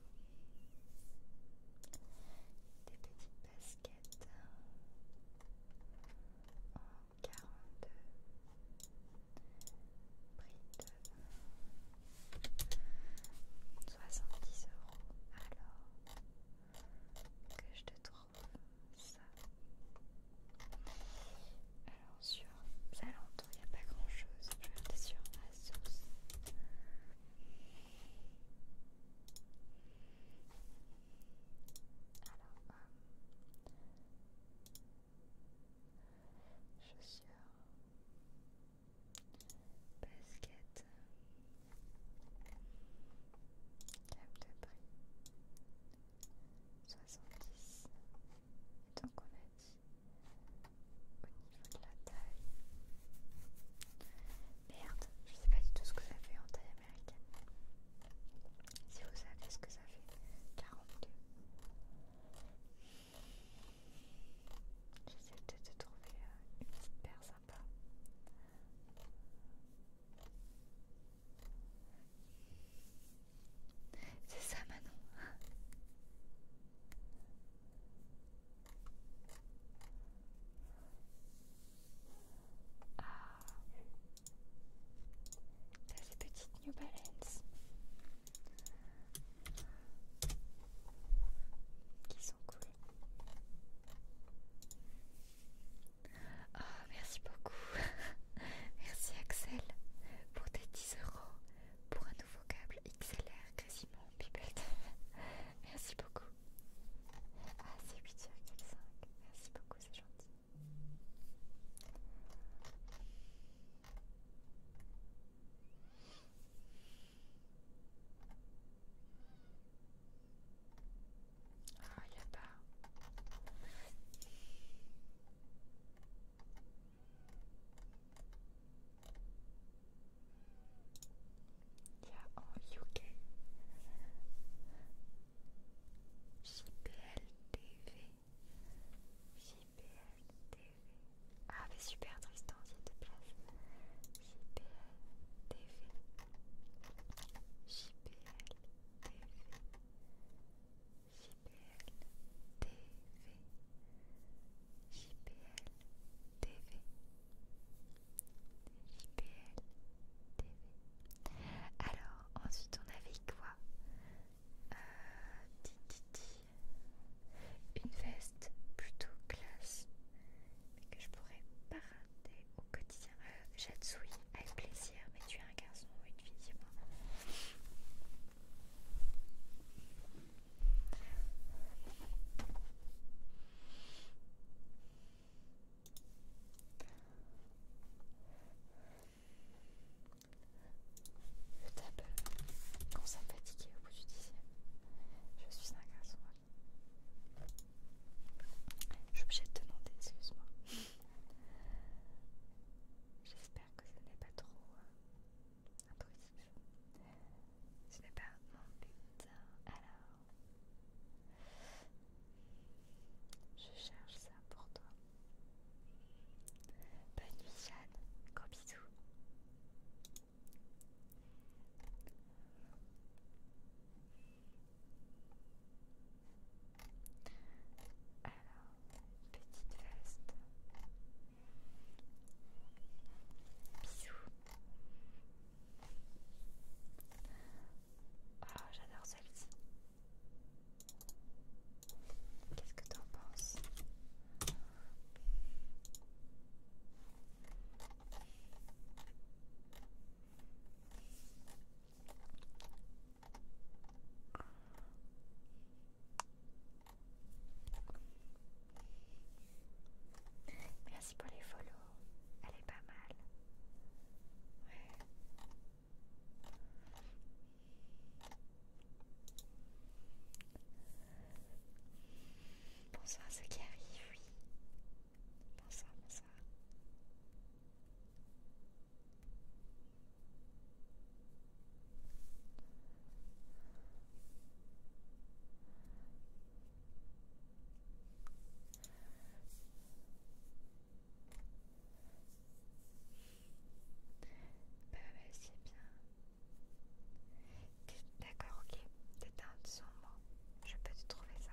Des petites baskets en 42 de 70 euros alors que je te trouve ça alors sur Zalando il n'y a pas grand chose je vais aller sur Asos alors euh, chaussures, baskets, câble de prix, 70. donc on a dit au niveau de la taille. Merde, je sais pas du tout ce que ça fait en taille américaine. Si vous savez ce que ça fait, J'essaie peut-être de trouver euh, une sympa. C'est ça Manon Ah T'as petites petites New Balance qui sont cool. Oh, merci beaucoup. merci Axel pour tes 10 euros pour un nouveau câble XLR quasiment pipette. merci beaucoup. Ah, c'est 8,5. Merci beaucoup, c'est gentil. Ah, il a pas... Il y a en UK. JPL TV. JPL TV. Ah, mais super Tristan, s'il te plaît. JPL TV. JPL TV. JPL TV. JPL TV. JPL TV. Alors, ensuite on avait quoi euh, une veste plutôt classe, mais que je pourrais pas au quotidien. Euh, avec plaisir, mais tu es un garçon ou une fille, dis-moi. Le table, quand ça me au bout du dixième, je suis un garçon. Je suis obligée de demander, excuse-moi. J'espère que ce n'est pas trop peu Ce n'est pas mon but. Alors, je cherche ça pour toi. Bonne nuit Jeanne, gros bisous. Alors, petite veste. Bisous. Ah j'adore celle-ci. Qu'est-ce que t'en penses Merci pour les follow, elle est pas mal. Ouais. Bonsoir à ceux qui arrivent, oui. Bonsoir, bonsoir. Bah, bah, c'est bien. D'accord, ok. T'es un sombre. Je peux te trouver ça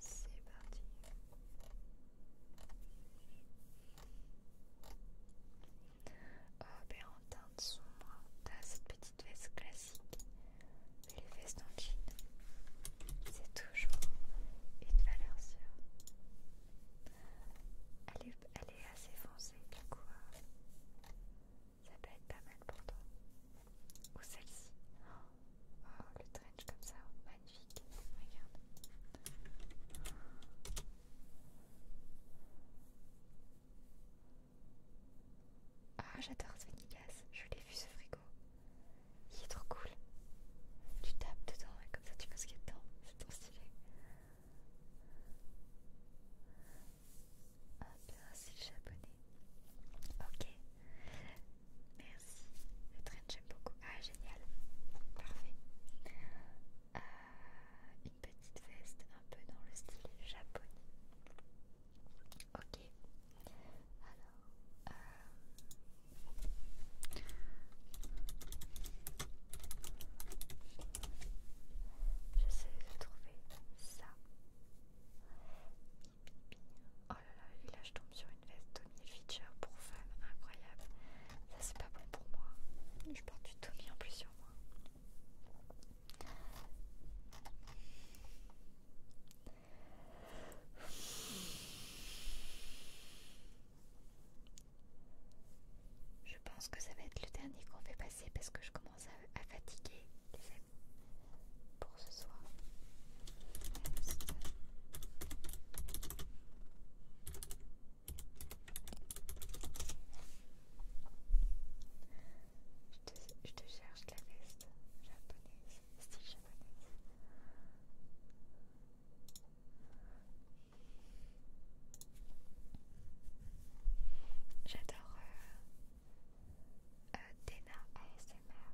C'est parti. Robe euh, en teinte sombre, t'as cette petite veste classique, mais les vestes en c'est toujours une valeur sûre. Elle est, assez foncée, du coup, euh, ça peut être pas mal pour toi. Ou celle-ci. Oh, le trench comme ça, magnifique, regarde. Ah, j'adore ce Venigas, je l'ai vu ce frigo. Il est trop cool. Tu tapes dedans et comme ça tu vois ce qu'il y a dedans, c'est trop stylé. Ah bien, c'est le japonais. Ok. Merci. Le train, j'aime beaucoup. Ah, génial. Parfait. Euh, petite veste un peu dans le style japonais. Ok, alors euh, j'essaie de trouver ça. Oh là là, et là je tombe sur une veste Tommy Hilfiger pour femme, incroyable. Ça c'est pas bon pour moi. Je porte du Tommy en plus je pense que ça va être le dernier qu'on fait passer parce que je commence à, fatiguer pour ce soir. Je te, cherche la veste japonaise, style japonaise. J'adore euh, euh ASMR.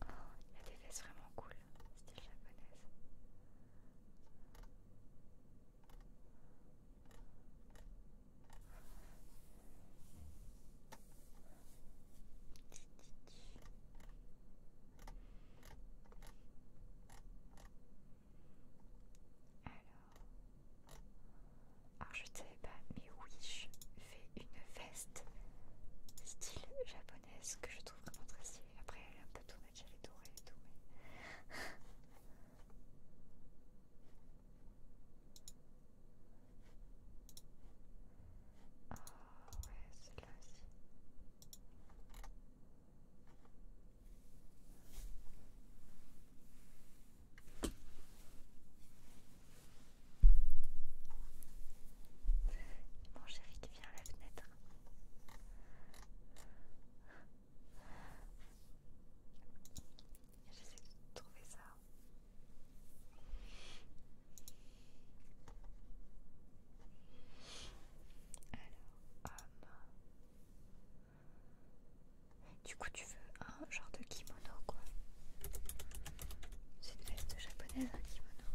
Oh, il y vraiment cool, style japonaise. Alors, alors je ne savais pas, mais Wish fait une veste style japonaise que je trouve vraiment très stylée. Après, elle est un peu tournée, elle est dorée et tout, mais. Ah ouais, celle-là aussi. Mon chéri qui vient à la fenêtre. J'essaie de trouver ça. Alors, du coup, tu veux un genre de kimono quoi. C'est une veste japonaise, un kimono.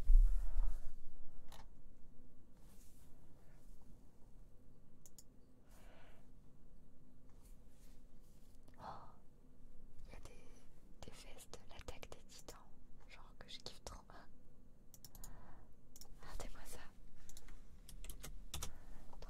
Oh, il y a des, des vestes, l'attaque des titans, genre que je kiffe trop. Regardez-moi ça. Trop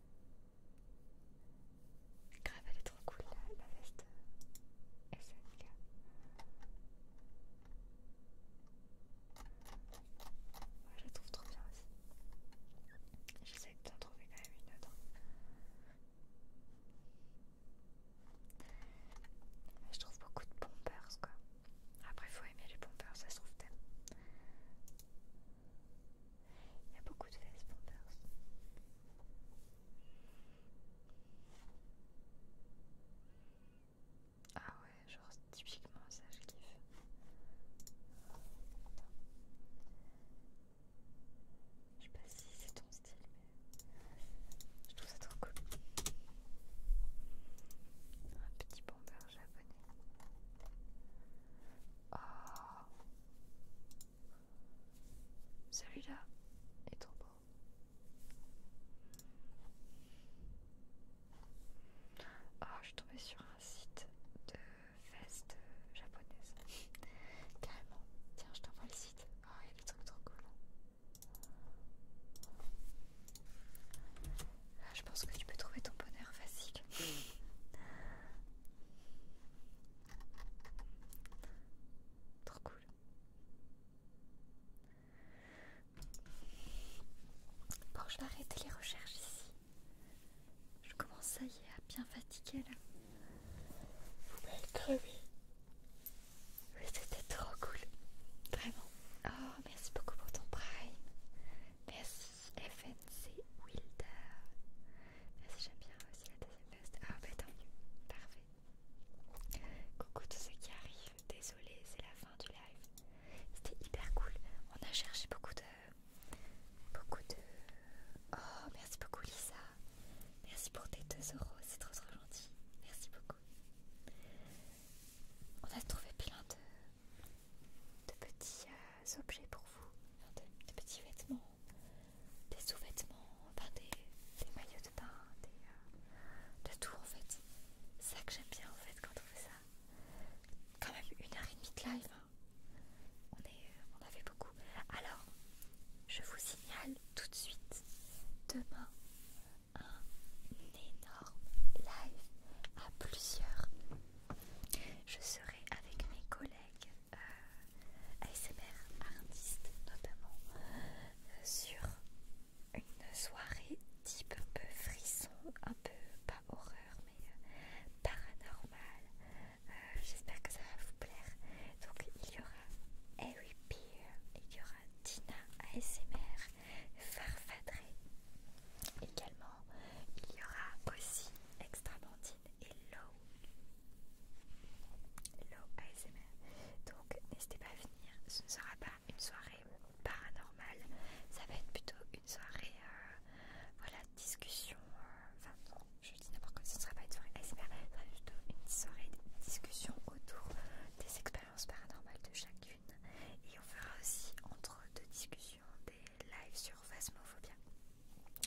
Grave, elle est trop cool la, veste euh, SNK. je la trouve trop bien aussi. J'essaie d'en trouver quand même une autre. Je trouve beaucoup de pompers quoi. Après, faut aimer les pompers, ça se trouve, tellement. Il y a beaucoup de fesses Pampers. Ah ouais, genre typiquement ça je kiffe. Je sais pas si c'est ton style mais je trouve ça trop cool. Un petit bomber japonais. Oh. Celui-là est trop beau. Oh, je suis tombée sur un site de veste japonaise. Carrément. Tiens, je t'envoie le site. Oh, il y a des trucs trop cool. Là, je pense que tu peux trouver ton bonheur facile. Trop cool. Bon, je vais arrêter les recherches ici. Je commence à y à bien fatiguer là. Vous m'avez crevé. Mais c'était trop cool. Vraiment. Oh, merci beaucoup pour ton prime. Merci. FNC Wilder. Merci, ah, j'aime bien aussi la deuxième veste. Ah, bah tant mieux, parfait. Coucou tous ceux qui arrivent, désolé, c'est la fin du live. C'était hyper cool. On a cherché beaucoup de. Beaucoup de. Oh, merci beaucoup, Lisa. Merci pour tes 2 euros, c'est trop trop gentil. Merci beaucoup. On a trouvé plein de de petits euh, objets pour vous, Des petits vêtements, des sous-vêtements, enfin des, maillots de bain, euh, de tout en fait. C'est ça que j'aime bien en fait quand on fait ça. Quand même une heure et demie de live, hein. on, euh, on a fait beaucoup. Alors, je vous signale tout de suite demain un énorme live à plusieurs. Je serai avec mes collègues avec euh, ASMR artiste notamment euh, sur une soirée type un peu frisson, un peu pas horreur mais euh, paranormal. J'espère que ça va vous plaire. Donc il y aura Harry Peer, il y aura Tina ASMR, Farfadré, également il y aura aussi Extramantine et Low. Low ASMR. Donc n'hésitez pas à venir. Ce ne sera pas une soirée paranormale. Ça va être plutôt une soirée euh, voilà, discussion. Euh, enfin non, je dis n'importe quoi. Ce ne sera pas une soirée ASMR. Ça sera plutôt une soirée de discussion autour des expériences paranormales de chacune. Et on fera aussi entre deux discussions des lives sur Phasmophobia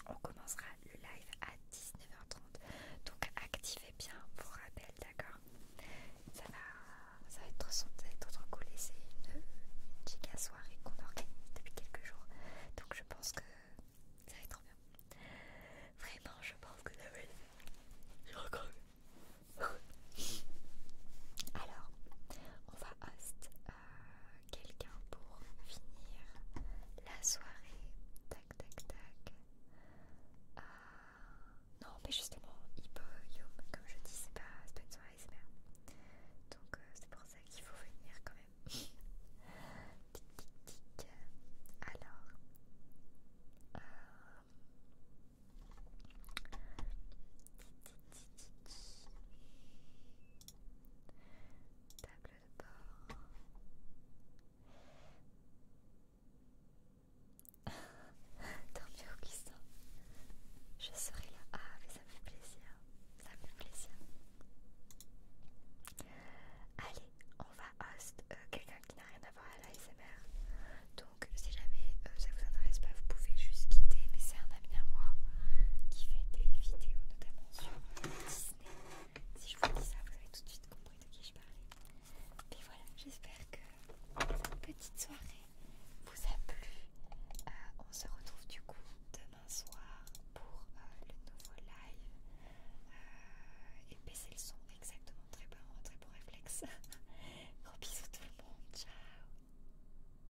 on commencera le live à 19h30. Donc activez bien vos rappels, d'accord ça va, être sans être trop cool et c'est une, giga soirée qu'on organise depuis quelques jours. Donc je pense que ça va être trop bien. Vraiment, je pense que ça va être... Alors, on va host euh, quelqu'un pour finir la soirée. Tac, tac, tac. Euh, non, mais justement, comme je dis, c'est pas, une soirée, c'est Donc, euh, c'est pour ça qu'il faut venir quand même. tic, tic, tic. Alors table de bord. Tant mieux, Je serai là. Ah, mais ça me fait plaisir. Ça me fait plaisir. Allez, on va host euh, quelqu'un qui n'a rien à voir à l'ASMR. Donc, si jamais euh, ça vous intéresse pas, vous pouvez juste quitter. Mais c'est un ami à moi qui fait des vidéos, notamment sur Disney. Si je vous dis ça, vous avez tout de suite compris de qui je parlais. Mais voilà, j'espère que cette petite soirée vous a plu. Euh, on se retrouve du coup demain soir pour euh, le nouveau live. Euh, et baissez le son, exactement. Très bon, très bon réflexe. Gros bisous tout le monde, ciao